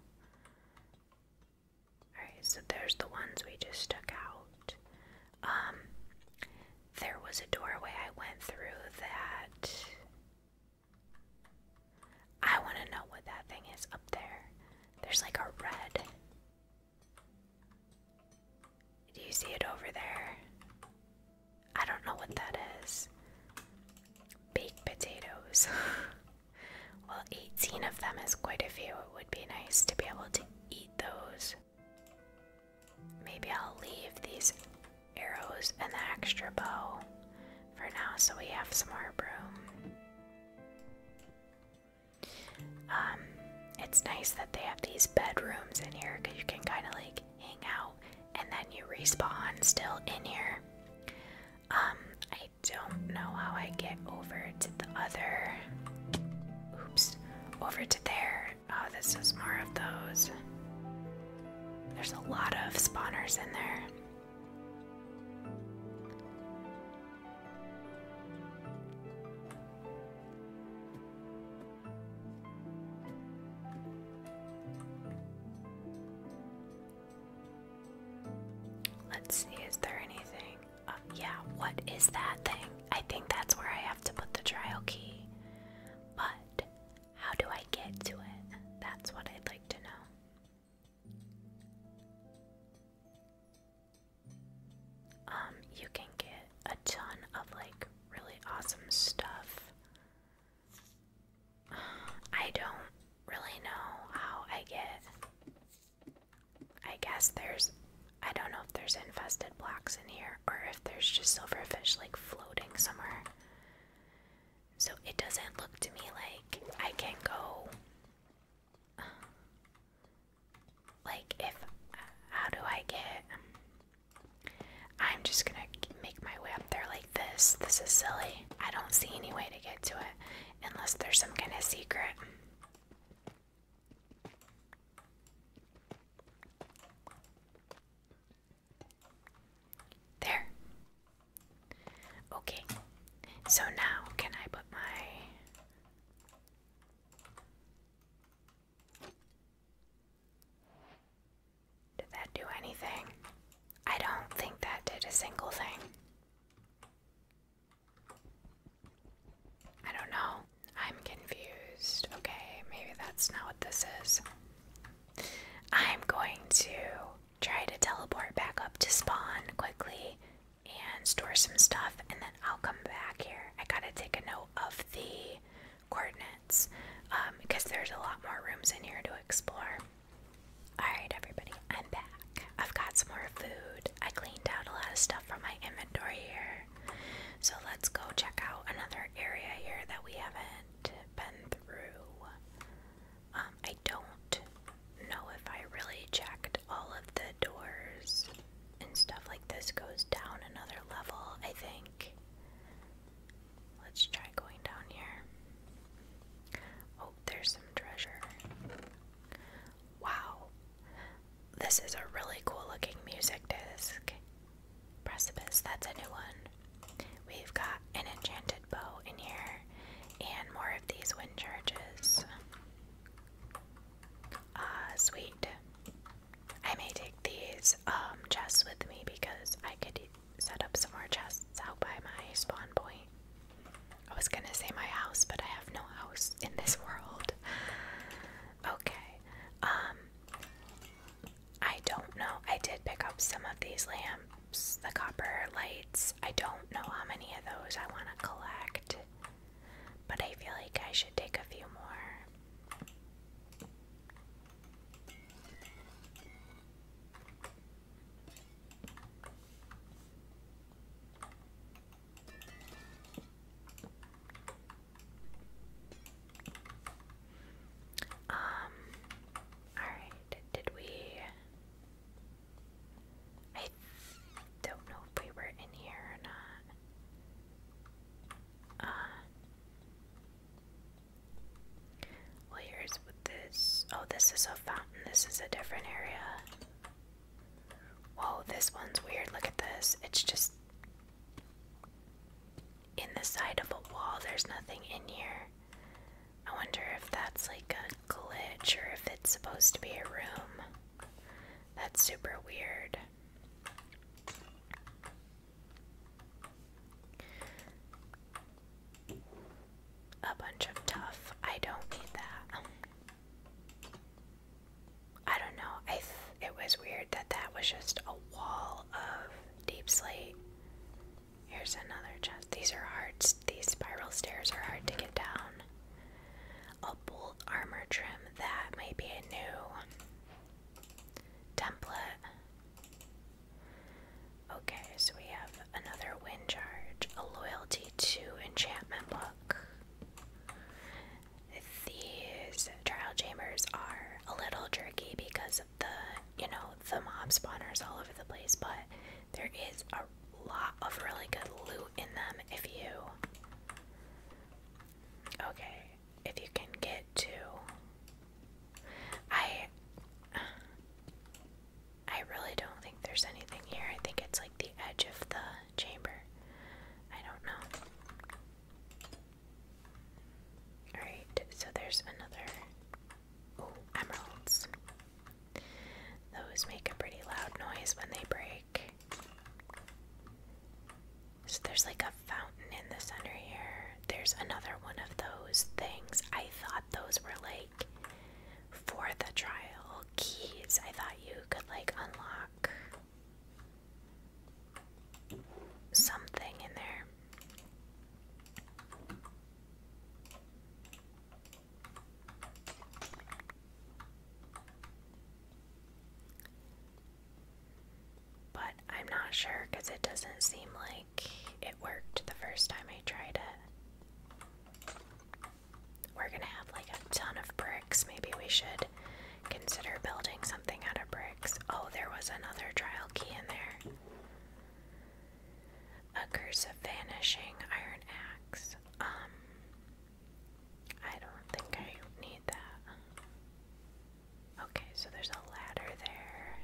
Speaker 1: Alright, so there's the ones we just took out. Um, there was a doorway I went through that. I want to know what that thing is up there. There's like a red. Do you see it over there? I don't know what that is. Baked potatoes. well, 18 of them is quite a few. It would be nice to be able to eat those. Maybe I'll leave these arrows and the extra bow for now so we have some more room. Um, it's nice that they have these bedrooms in here because you can kind of like hang out, and then you respawn still in here. Um, I don't know how I get over to the other. Oops, over to there. Oh, this is more of those. There's a lot of spawners in there. Let's see, is there anything? Um, yeah, what is that thing? I think that's where I have to put the trial key. But how do I get to it? That's what I'd like to know. Um, you can get a ton of like really awesome stuff I don't really know how I get. I guess there's. I don't know if there's infested blocks in here or if there's just silverfish like floating somewhere. So it doesn't look to me like I can go. Like, if. How do I get. I'm just gonna make my way up there like this. This is silly. I don't see any way to get to it unless there's some kind of secret. There. Okay. So now, can I put my. Did that do anything? I don't think that did a single thing. I don't know. I'm confused. Okay, maybe that's not what this is. I'm going to try to teleport back up to spawn quickly and store some stuff, and then I'll come back here. I gotta take a note of the coordinates because um, there's a lot more rooms in here to explore. Alright, everybody, I'm back. I've got some more food. I cleaned out a lot of stuff from my inventory here. So let's go check out another area here that we haven't been through. Um, I don't know if I really checked all of the doors and stuff like this goes down another level, I think. Let's try going down here. Oh, there's some treasure. Wow. This is a really cool looking music disc. Precipice, that's a new one. We've got an enchanted bow in here and more of these wind charges. Ah, sweet. I may take these um, chests with me because I could set up some more chests out by my spawn point. I was gonna say my house, but I have no house in this world. Okay. Um, I don't know. I did pick up some of these lamps, the copper lights. I don't know how many of those I wanna collect. But I feel like I should take a few more. Um, all right, did we? I don't know if we were in here or not. Uh, well, here's with this. Oh, this is a fountain. This is a different area. Whoa, this one's weird. Look at this. It's just in the side of a wall. There's nothing in here. I wonder if that's like a glitch or if it's supposed to be a room. That's super weird. A bunch of tough. I don't need that. I don't know. I it was weird that that was just a wall of deep slate. Here's another chest. These are hard. These spiral stairs are hard to get down. A bolt armor trim. That might be a new template. Okay, so we have another wind charge, a loyalty to enchantment book. These trial chambers are a little jerky because of the, you know, the mob spawners all over the place, but there is a lot of really good loot in them if you. Okay, if you can get to I I really don't think there's anything here. I think it's like the edge of the chamber. I don't know. Alright, so there's another oh, emeralds. Those make a pretty loud noise when they break. So there's like a fountain in the center here. There's another one of those things. I thought those were like for the trial keys. I thought you could like unlock something in there. But I'm not sure because it doesn't seem like it worked the first time I tried it. We're gonna have like a ton of bricks. Maybe we should consider building something out of bricks. Oh, there was another trial key in there. A curse of vanishing iron axe. Um, I don't think I need that. Okay, so there's a ladder there.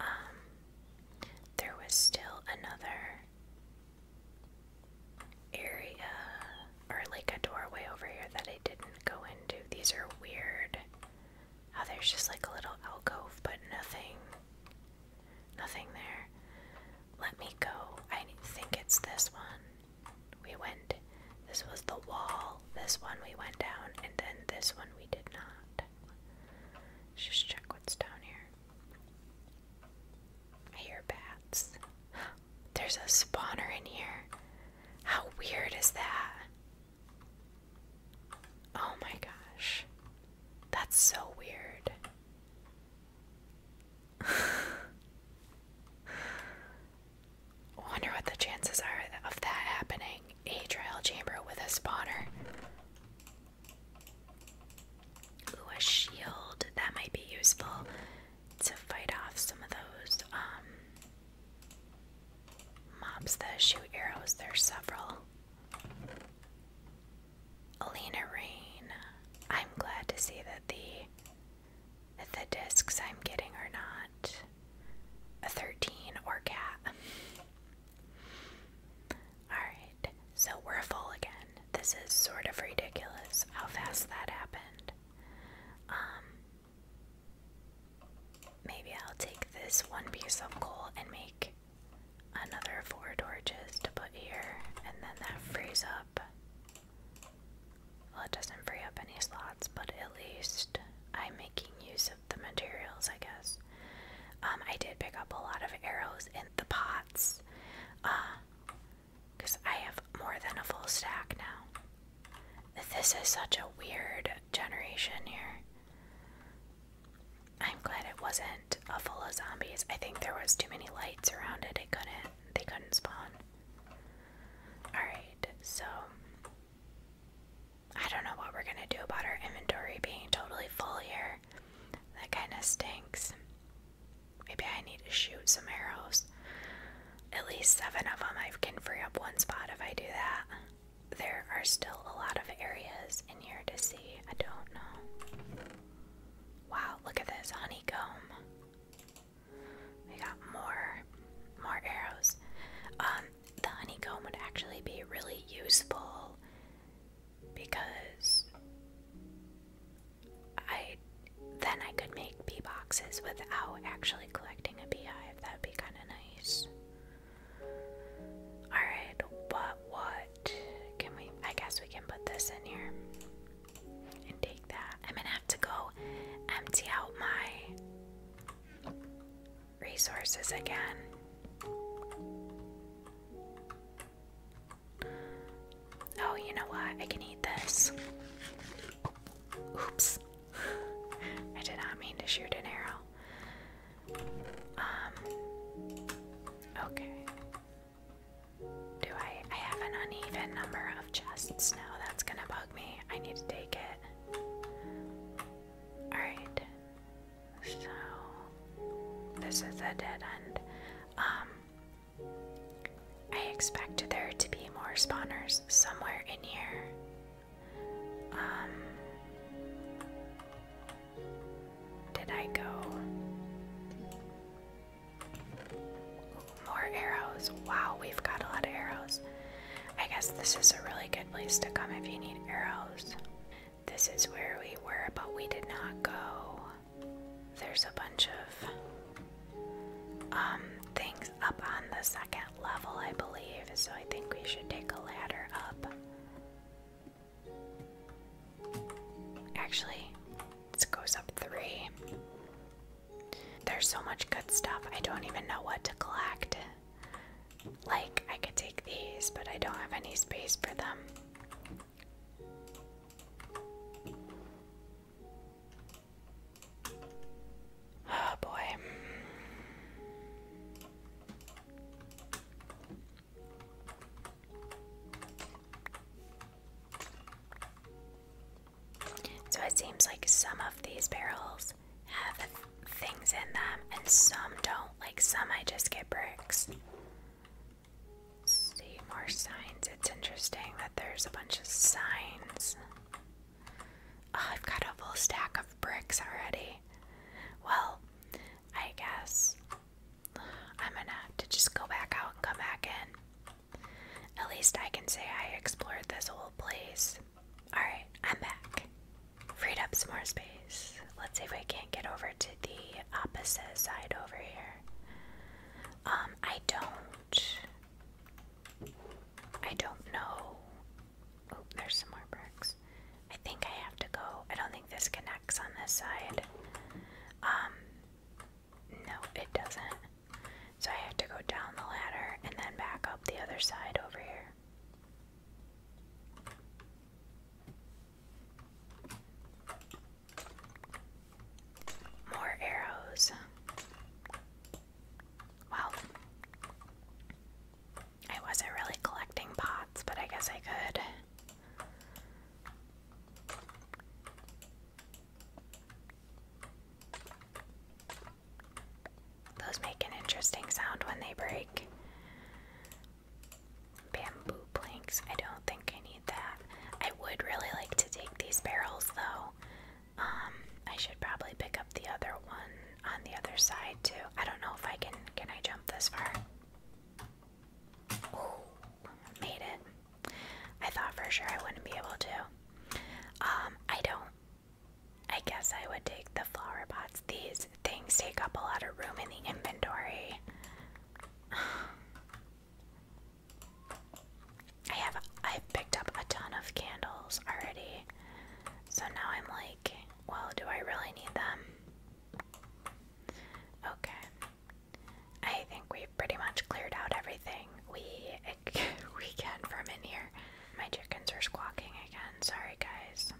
Speaker 1: Um, there was still another area or like a doorway over here that I didn't go into. These are weird. Oh, there's just like a little alcove, but nothing, nothing there. Let me go. I think it's this one. We went this was the wall. This one we went down, and then this one we did not. Let's just check what's down here. I hear bats. There's a spawner in here. How weird is that? Oh my gosh. That's so weird. wonder what the chances are of that happening. A trial chamber with a spawner. Ooh, a shield. That might be useful to fight off some of those um, mops that shoot arrows. There's several. Alina Rain. I'm glad to see that the the discs I'm getting are not a 13 or cat. Alright, so we're full again. This is sort of ridiculous how fast that happened. Um, maybe I'll take this one piece of coal and make another four torches to put here, and then that frees up. Well, it doesn't free up any slots, but at least I'm making use the materials, I guess. Um, I did pick up a lot of arrows in the pots, because uh, I have more than a full stack now. This is such a weird generation here. I'm glad it wasn't a full of zombies. I think there was too many lights around it. It couldn't. They couldn't spawn. All right, so I don't know what we're gonna do about our inventory being totally full here. That kind of stinks. Maybe I need to shoot some arrows. At least seven of them. I can free up one spot if I do that. There are still a lot of areas in here to see. I don't know. Wow, look at this honeycomb. We got more, more arrows. Um, the honeycomb would actually be really useful because I then I could make bee boxes without actually collecting a beehive. That'd be kind of nice. Alright, but what can we? I guess we can put this in here and take that. I'm gonna have to go empty out my resources again. Oh, you know what? I can eat this. Oops. I did not mean to shoot an arrow. Um, okay. Do I? I have an uneven number of chests now. That's gonna bug me. I need to take it. Alright. So this is a dead end. Um I expect there to be more spawners somewhere in here. Um did I go? More arrows. Wow, we've got a lot of arrows. I guess this is a really good place to come if you need arrows. This is where we were, but we did not go. There's a bunch of um, things up on the second level, I believe, so I think we should take a ladder up. Actually, this goes up three. There's so much good stuff, I don't even know what to collect. Like, I could take these, but I don't have any space for them. Oh boy. So it seems like some of these barrels have things in them, and some don't. Like some, I just get bricks. see more signs. It's interesting that there's a bunch of signs. Oh, I've got a full stack of bricks already. Well, I guess I'm gonna have to just go back out and come back in. At least I can say I explored this whole place. Alright, I'm back. Freed up some more space. Let's see if we can't get over to the opposite side over here. Um, I don't. I don't know. Oh, there's some more bricks. I think I have to go. I don't think this connects on this side. Um, no, it doesn't. So I have to go down the ladder and then back up the other side over here. More arrows. Well, I wasn't really collecting pots, but I guess I could. Those make an interesting sound when they break. Bamboo planks. I don't think I need that. I would really like to take these barrels though. Um, I should probably pick up the other one on the other side too. I don't know if I can. Can I jump this far? made it. I thought for sure I wouldn't be able to. Um, I don't I guess I would take the flower pots. These things take up a lot of room in the inventory. I have i picked up a ton of candles already. So now I'm like, well, do I really need them? Okay. I think we've pretty much cleared out everything we we can from in here. My chickens are squawking again. Sorry guys.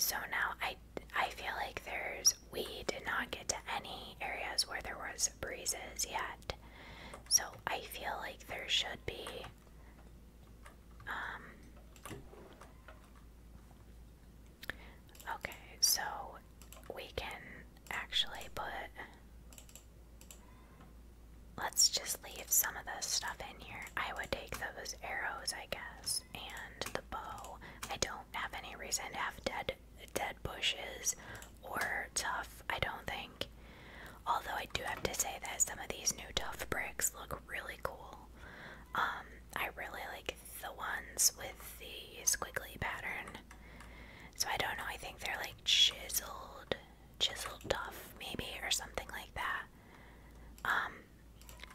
Speaker 1: So now I, I feel like there's, we did not get to any areas where there was breezes yet. So I feel like there should be, um, okay, so we can actually put Let's just leave some of this stuff in here. I would take those arrows, I guess, and the bow. I don't have any reason to have dead dead bushes or tough, I don't think. Although I do have to say that some of these new tough bricks look really cool. Um, I really like the ones with the squiggly pattern. So I don't know, I think they're like chiseled chiseled off, maybe, or something like that. Um,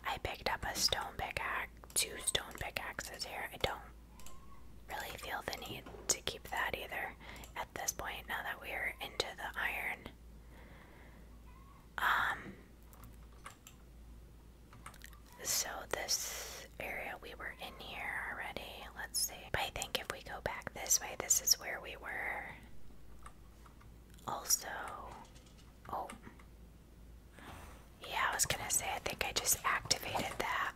Speaker 1: I picked up a stone pickaxe, two stone pickaxes here. I don't really feel the need to keep that either at this point now that we're into the iron. Um, so this area we were in here already. Let's see. I think if we go back this way, this is where we were. Also, oh. Yeah, I was gonna say, I think I just activated that.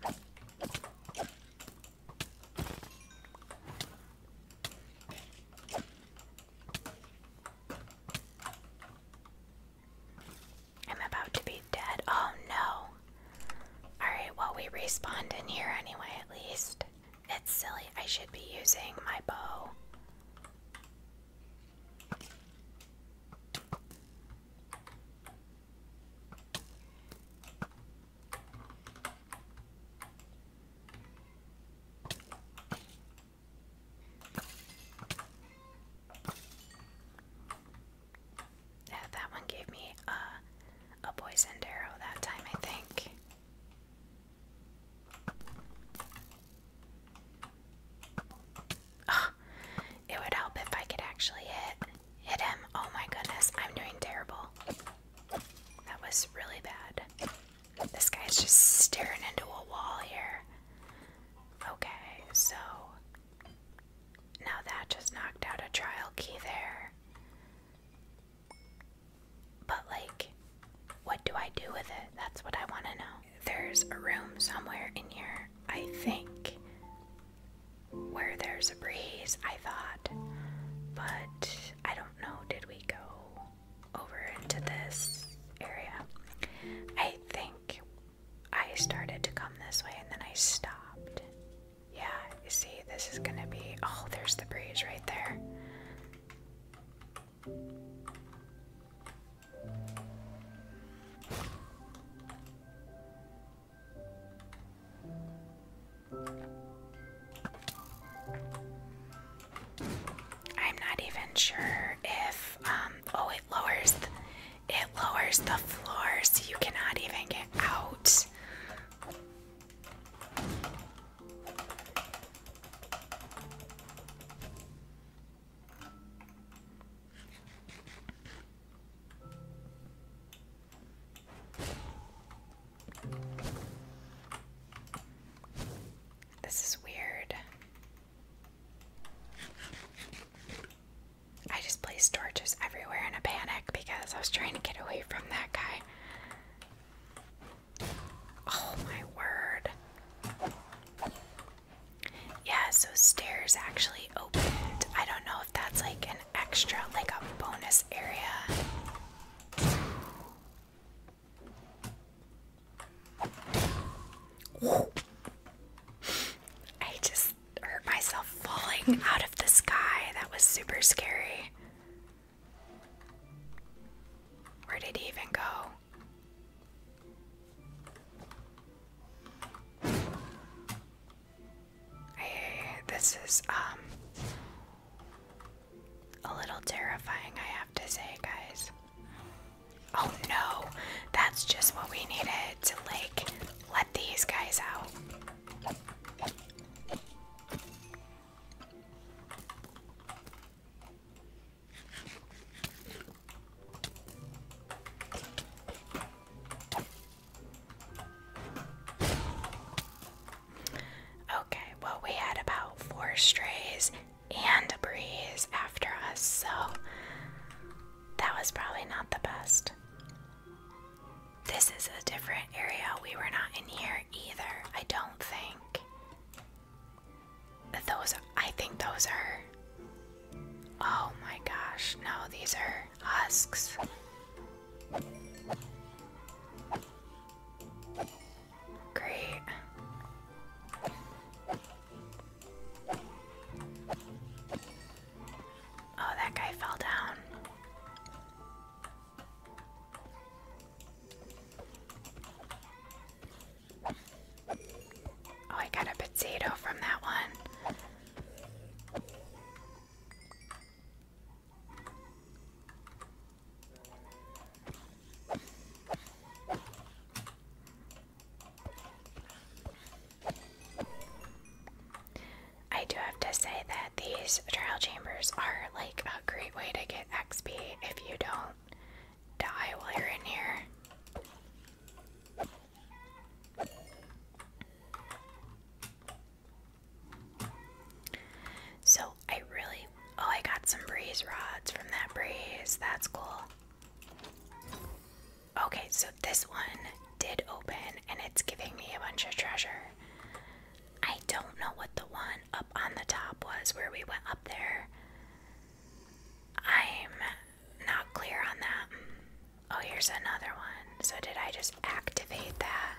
Speaker 1: I'm about to be dead. Oh no. Alright, well, we respawned in here anyway, at least. It's silly. I should be using my bow. Yeah, that one gave me a a poisoned arrow that time, I think. Oh, it would help if I could actually hit hit him. Oh my goodness, I'm doing terrible. That was really bad. This guy's just staring into a wall here. Okay, so now that just knocked out a trial key there. But, like, what do I do with it? That's what I want to know. There's a room somewhere in here, I think, where there's a breeze, I thought. But I don't know. Did we go over into this area? I think I started to come this way and then I stopped. Yeah, you see, this is gonna be. Oh, there's the breeze right there. I'm not even sure if um, oh it lowers it lowers the floor you cannot even get out. This is weird. I just placed torches everywhere in a panic because I was trying to get away from that guy. Oh my word. Yeah, so stairs actually opened. I don't know if that's like an extra, like a bonus area. I just hurt myself falling out of the sky. That was super scary. Where did he even go? Hey, this is um a little terrifying, I have to say, guys. Oh no, that's just what we needed to like let these guys out. Okay, well, we had about four strays and a breeze after us, so that was probably not the best. This is a different area. We were not in here either, I don't think. Those, I think those are. Oh my gosh, no, these are husks. Great. Oh, that guy fell down. Oh, I got a potato from that one. I do have to say that these trial chambers are like a great way to get XP if you don't die while you're in here. So I really oh I got some breeze rods from that breeze. That's cool. Okay, so this one did open and it's giving me a bunch of treasure. I don't know what the one up on the top was where we went up there. I'm not clear on that. Oh, here's another one. So, did I just activate that?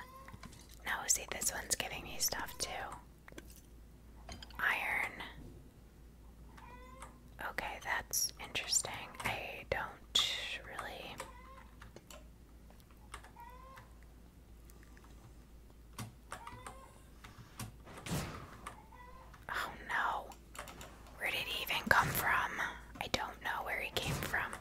Speaker 1: No, see, this one's giving me stuff too. Iron. Okay, that's interesting. I don't really. Oh no. Where did he even come from? I don't know where he came from.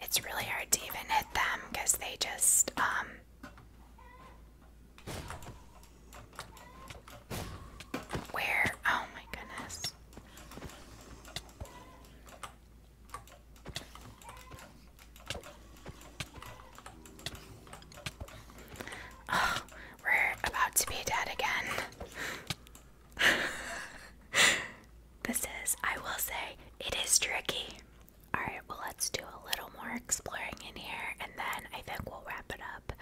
Speaker 1: It's really hard to even hit them because they just, um. Where? Oh my goodness. Oh, we're about to be dead again. this is, I will say, it is tricky. Alright, well, let's do a little more exploring in here and then I think we'll wrap it up.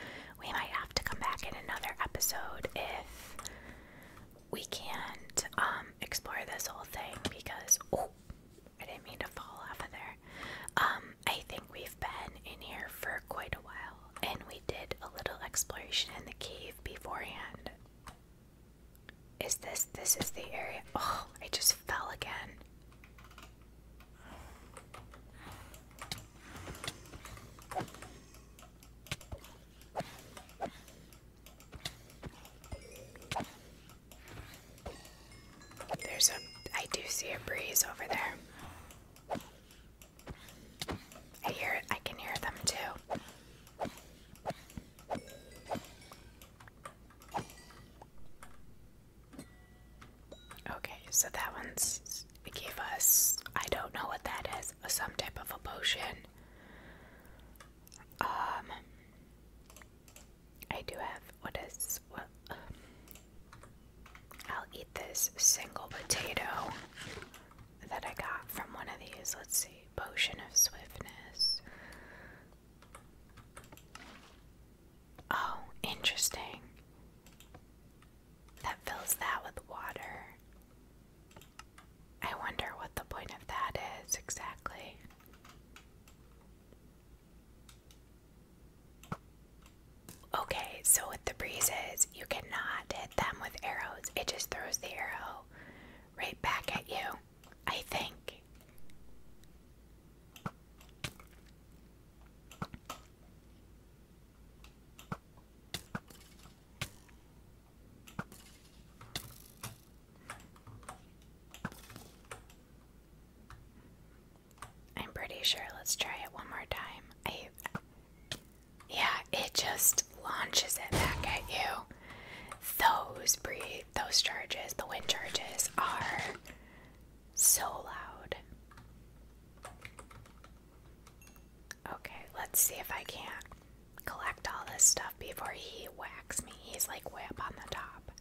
Speaker 1: We might have to come back in another episode if we can't um, explore this whole thing because oh, I didn't mean to fall off of there. Um, I think we've been in here for quite a while, and we did a little exploration in the cave beforehand. Is this this is the area? Oh, I just fell again. There's a, I do see a breeze over there. I hear it, I can hear them too. Okay, so that one's, it gave us, I don't know what that is, some type of a potion. Um, I do have what is I'll eat this single potato that I got from one of these. Let's see, potion of swiftness. Oh, interesting. That fills that with water. I wonder what the point of that is exactly. Okay, so with the breezes, you cannot hit them with arrows. It just throws the arrow right back at you, I think. I'm pretty sure. Let's try it one more time. I, yeah, it just launches it back at you. Those breathe, those charges, the wind charges are so loud. Okay, let's see if I can collect all this stuff before he whacks me. He's like way up on the top.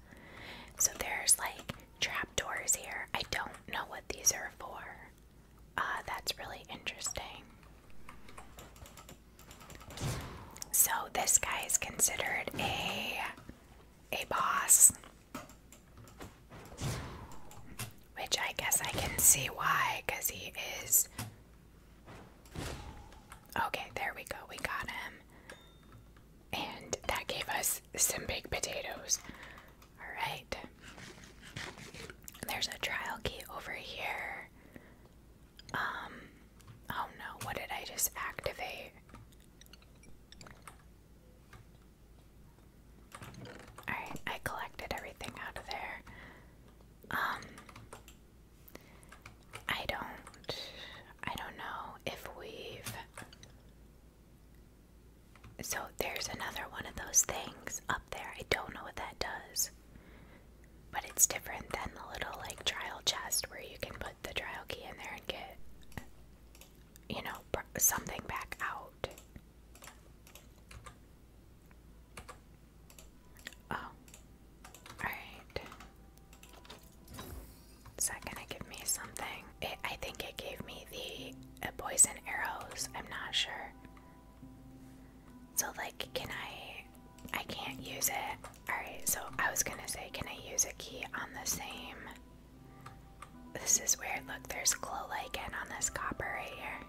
Speaker 1: So there's like trap doors here. I don't know what these are for. Ah, that's really interesting. So this guy is considered a a boss. Which I guess I can see why, because he is Okay, there we go. We got him. And that gave us some baked potatoes. Alright. There's a trial key over here. Um, oh no, what did I just activate? Alright, I collected everything out of there. Um, I don't I don't know if we've So there's another one of those things up there. I don't know what that does. But it's different than the little like trial chest where you can put the trial key in there and get you know something back out. Oh. Alright. Is that gonna give me something? I think it gave me the uh, poison arrows. I'm not sure. So, like, can I. I can't use it. Alright, so I was gonna say, can I use a key on the same. This is weird. Look, there's glow lichen on this copper right here.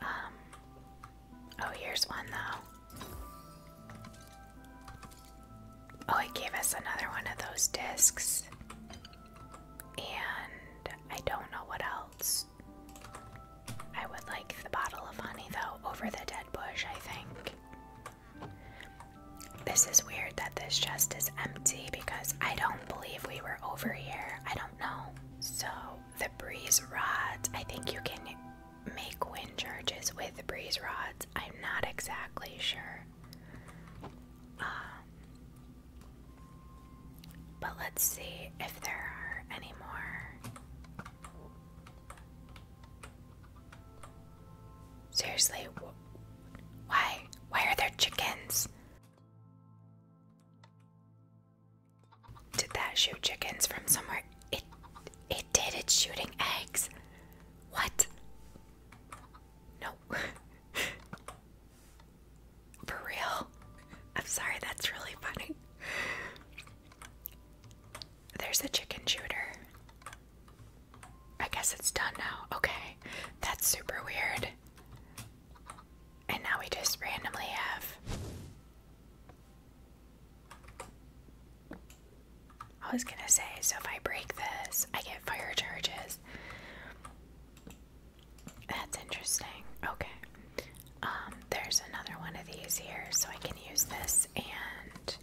Speaker 1: Um. Oh, here's one though. Oh, it gave us another one of those discs. And I don't know what else. I would like the bottle of honey though over the dead bush, I think. This is weird that this chest is empty because I don't believe we were over here. I don't know. So the breeze rods. I think you can make wind charges with the breeze rods. I'm not exactly sure. Um, but let's see if there are any more. Seriously, why? Why are there chickens? Did that shoot chickens from somewhere? It it did. It's shooting eggs. What? No. For real? I'm sorry, that's really funny. There's a chicken shooter. I guess it's done now. Okay. That's super weird. And now we just randomly have I was gonna say, so if I break this, I get fire charges. That's interesting. Okay. Um, there's another one of these here, so I can use this and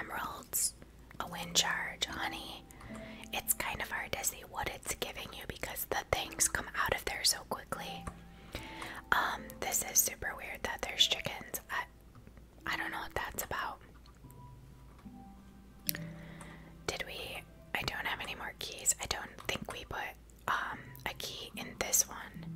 Speaker 1: emeralds, a wind charge, honey. It's kind of hard to see what it's giving you because the things come out of there so quickly. Um, this is super weird that there's chickens. I, I don't know what that's about. Did we? I don't have any more keys. I don't think we put um, a key in this one.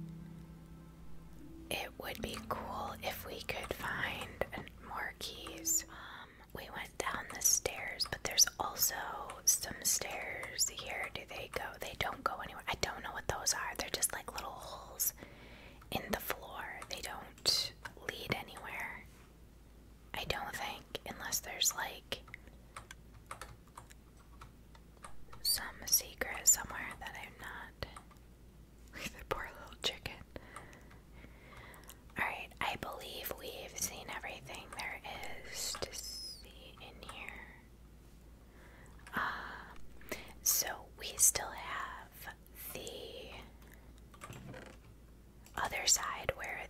Speaker 1: It would be cool if we could find more keys. Um, we went down the stairs, but there's also some stairs here they go? They don't go anywhere. I don't know what those are. They're just like little holes in the floor. They don't lead anywhere. I don't think, unless there's like some secret somewhere that I'm not. poor little chicken. Alright, I believe we've seen everything there is to see in here so we still have the other side where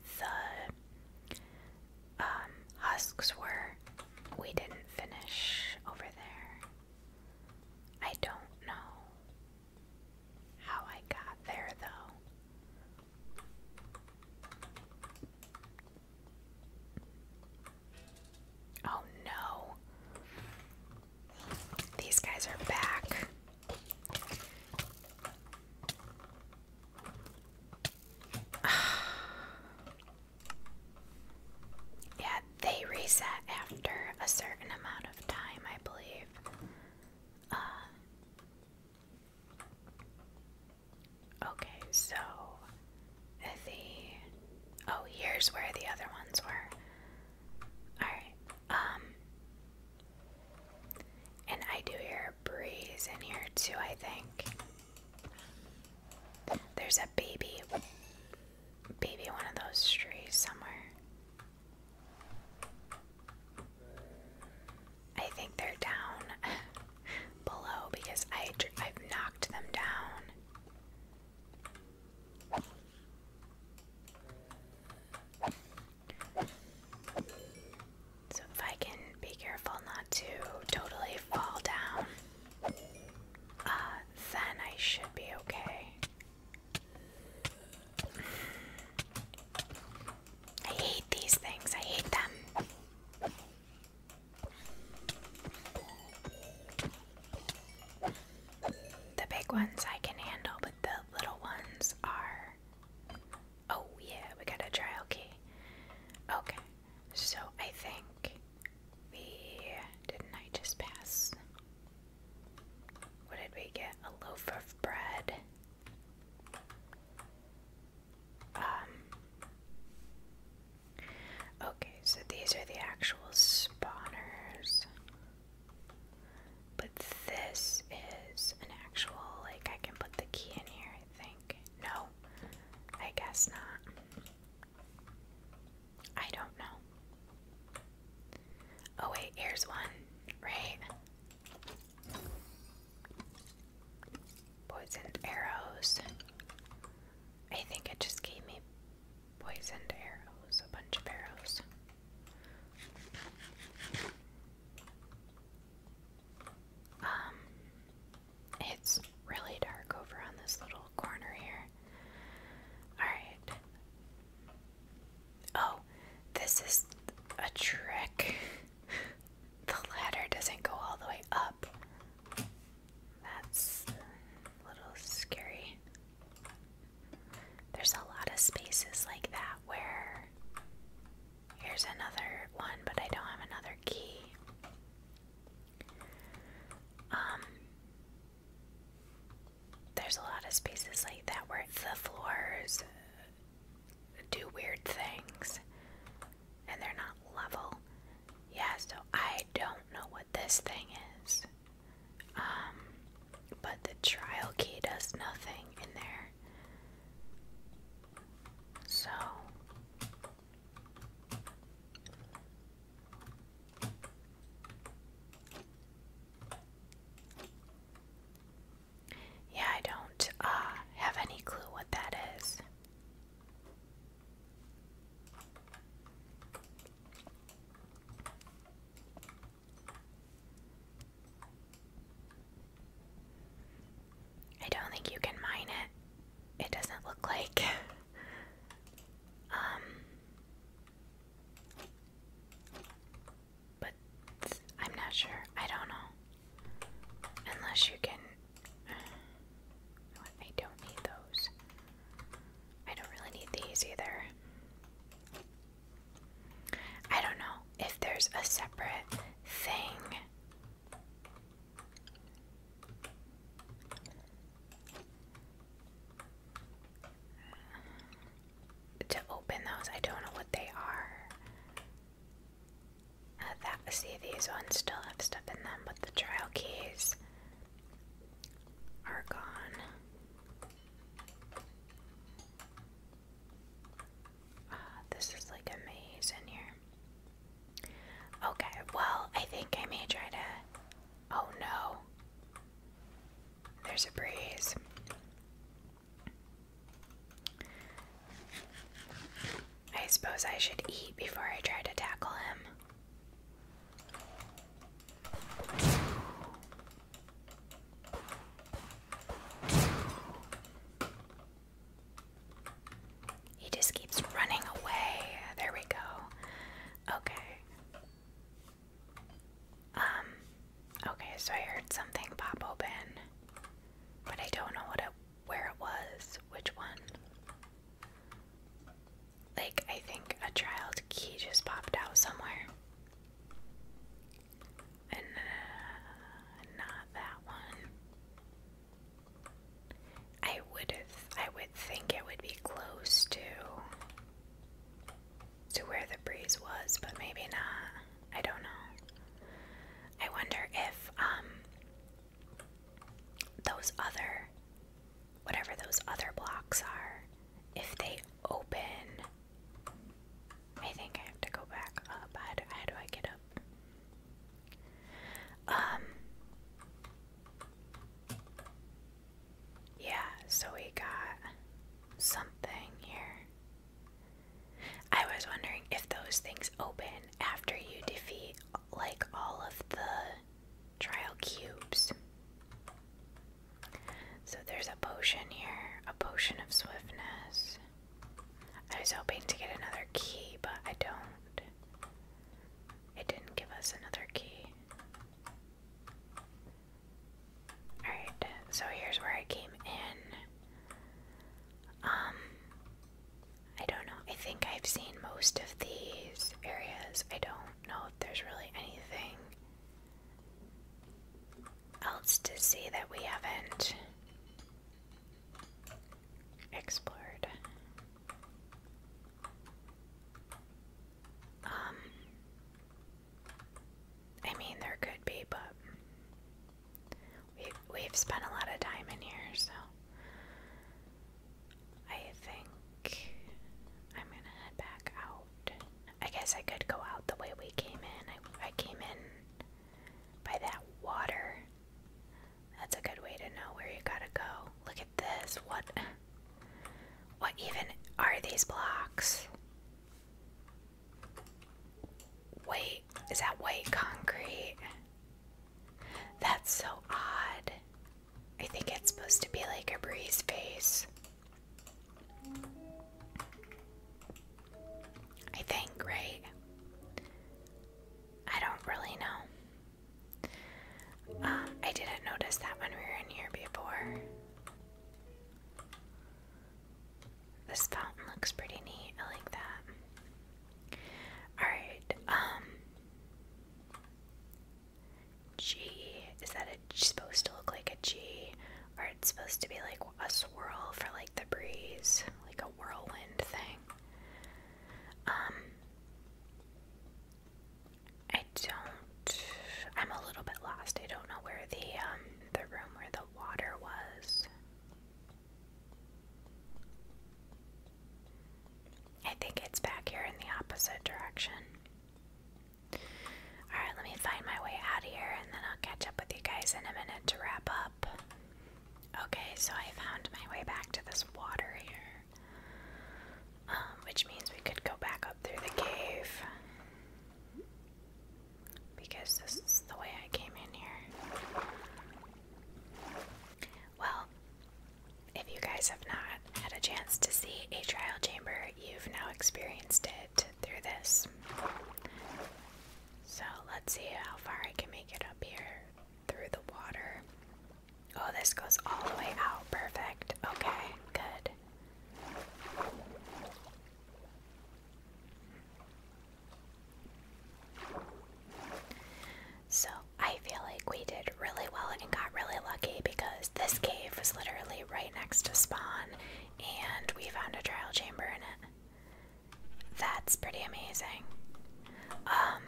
Speaker 1: the um, husks were. We didn't finish over there. I don't know how I got there though. Oh no. These guys are back. yeah, they reset after a certain amount of time, I believe. Uh, Okay, so the oh, here's where the other ones were. All right, um, and I do hear a breeze in here too. I think there's a baby, baby, one of those trees somewhere. I think they're down below because I I've knocked them down. So if I can be careful not to totally fall down, uh, then I should be okay. I hate these things. I hate them. The big ones I can handle, but the little ones are. Oh, yeah, we got a trial key. Okay, so I think we. Didn't I just pass? What did we get? A loaf of bread. Um, Okay, so these are the actual spawners. But this is an actual, like, I can put the key in here, I think. No, I guess not. I don't know. Oh, wait, here's one, right? Poisoned arrows. I think it just gave me poisoned arrows, a bunch of arrows. Um, it's really dark over on this little corner here. Alright. Oh, this is a trick. the ladder doesn't go all the way up. That's a little scary. There's a lot of spaces like that where here's another one, but I don't have another key. Um, there's a lot of spaces like that where the floors do weird things and they're not level. Yeah, so I don't know what this thing is. Um, but the trial key does nothing in there. So. Yeah, I don't uh, have any clue what that is. I don't think you can mine it. It doesn't look like. Um, but I'm not sure. I don't know. Unless you can uh, I don't need those. I don't really need these either. I don't know if there's a separate thing. To open those, I don't know what they are. Uh, that see, these ones still have stuff in them, but the trial keys are gone. Uh, this is like a maze in here. Okay, well, I think I may try to. Oh no. There's a breeze. I suppose I should eat before I try to tackle him. He just keeps running away. There we go. Okay. Um, okay, so I heard something pop open, but I don't know what it, where it was, which one. Like, I think a child key just popped out somewhere. And uh, not that one. I would I would think it would be close to to where the breeze was, but maybe not. I don't know. I wonder if um those other whatever those other blocks are, if they open, I think I have to go back up. How do, I get up? Um, yeah, so we got something here. I was wondering if those things open after you defeat like all of the trial cubes. So there's a potion here, a potion of swiftness. I was hoping to get another key, but I don't. It didn't give us another key. Alright, so here's where I came in. Um, I don't know. I think I've seen most of these areas. I don't know there's really anything else to see that we haven't explored. Um, I mean, there could be, but we've, we've spent a lot of time in here, so I think I'm gonna head back out. I guess I could go out the way we came in. I, came in by that water. That's a good way to know where you gotta go. Look at this. What? What even are these blocks? Wait, is that white concrete? That's so odd. I think it's supposed to be like a breeze face. I think, right? I don't really know. Um, I didn't notice that when we were in here before. This fountain looks pretty neat. I like that. Alright, um. G. Is that a, supposed to look like a G? Or it's supposed to be like a swirl for like the breeze, like a whirlwind thing. Um, I don't. I'm a little bit lost. I don't know where the um the room where the water was. I think it's back here in the opposite direction. Alright, let me find my way out of here and then I'll catch up with you guys in a minute to wrap up. Okay, so I found my way back to this water here. Um, which means we could go back up through the cave. Because this is the way I came in here. Well, if you guys have not had a chance to see a trial chamber, you've now experienced it through this. So let's see how far I can make it up here through the water. Oh, this goes all the way out. Perfect. Okay, good. So, I I feel like we did really well and got really lucky because this cave was literally right next to spawn and we found a trial chamber in it. That's pretty amazing. Um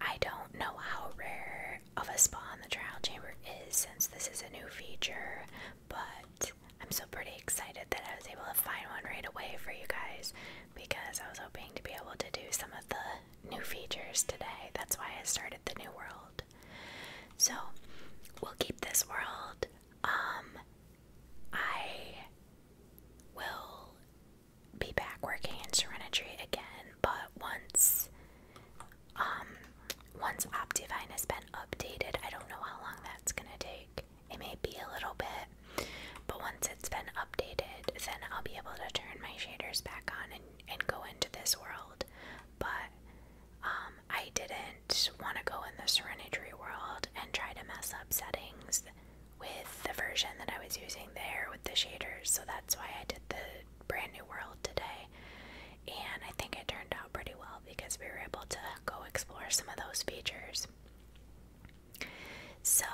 Speaker 1: I don't know how rare of a spawn the trial chamber is since this is a new feature, but I'm so pretty excited that I was able to find one right away for you guys because I was hoping to be able to do some of the new features today. That's why I started the new world. So we'll keep this world. Um, I will be back working in Serenity again, but once um, once Optivine has been updated, I don't know how long that's gonna take. It may be a little bit, but once it's been updated, then I'll be able to turn my shaders back on and and go into this world, but um, I didn't want to go in the Serenity world and try to mess up settings with the version that I was using there with the shaders, so that's why I did the brand new world today. And I think it turned out pretty well because we were able to go explore some of those features. So,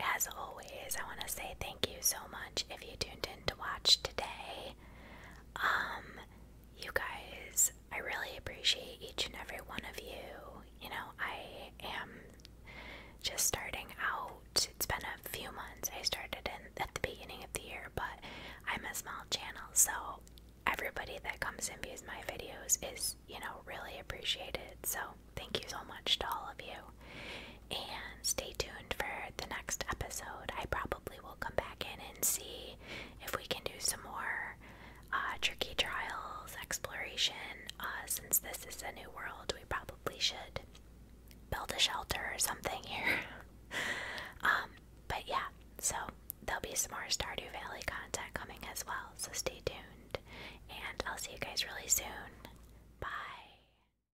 Speaker 1: as always, I want to say thank you so much if you tuned in to watch today. Um, you guys, I really appreciate each and every one of you. You know, I am just starting out. It's been a few months. I started in at the beginning of the year, but I'm a small channel, so everybody that comes and views my videos is, you know, really appreciated. So, thank you so much to all of you. And stay tuned for the next episode. I probably will come back in and see if we can do some more uh, tricky trials exploration. Uh, since this is a new world, we probably should build a shelter or something here. Um, but yeah, so there'll be some more Stardew Valley content coming as well. So stay tuned, and I'll see you guys really soon. Bye.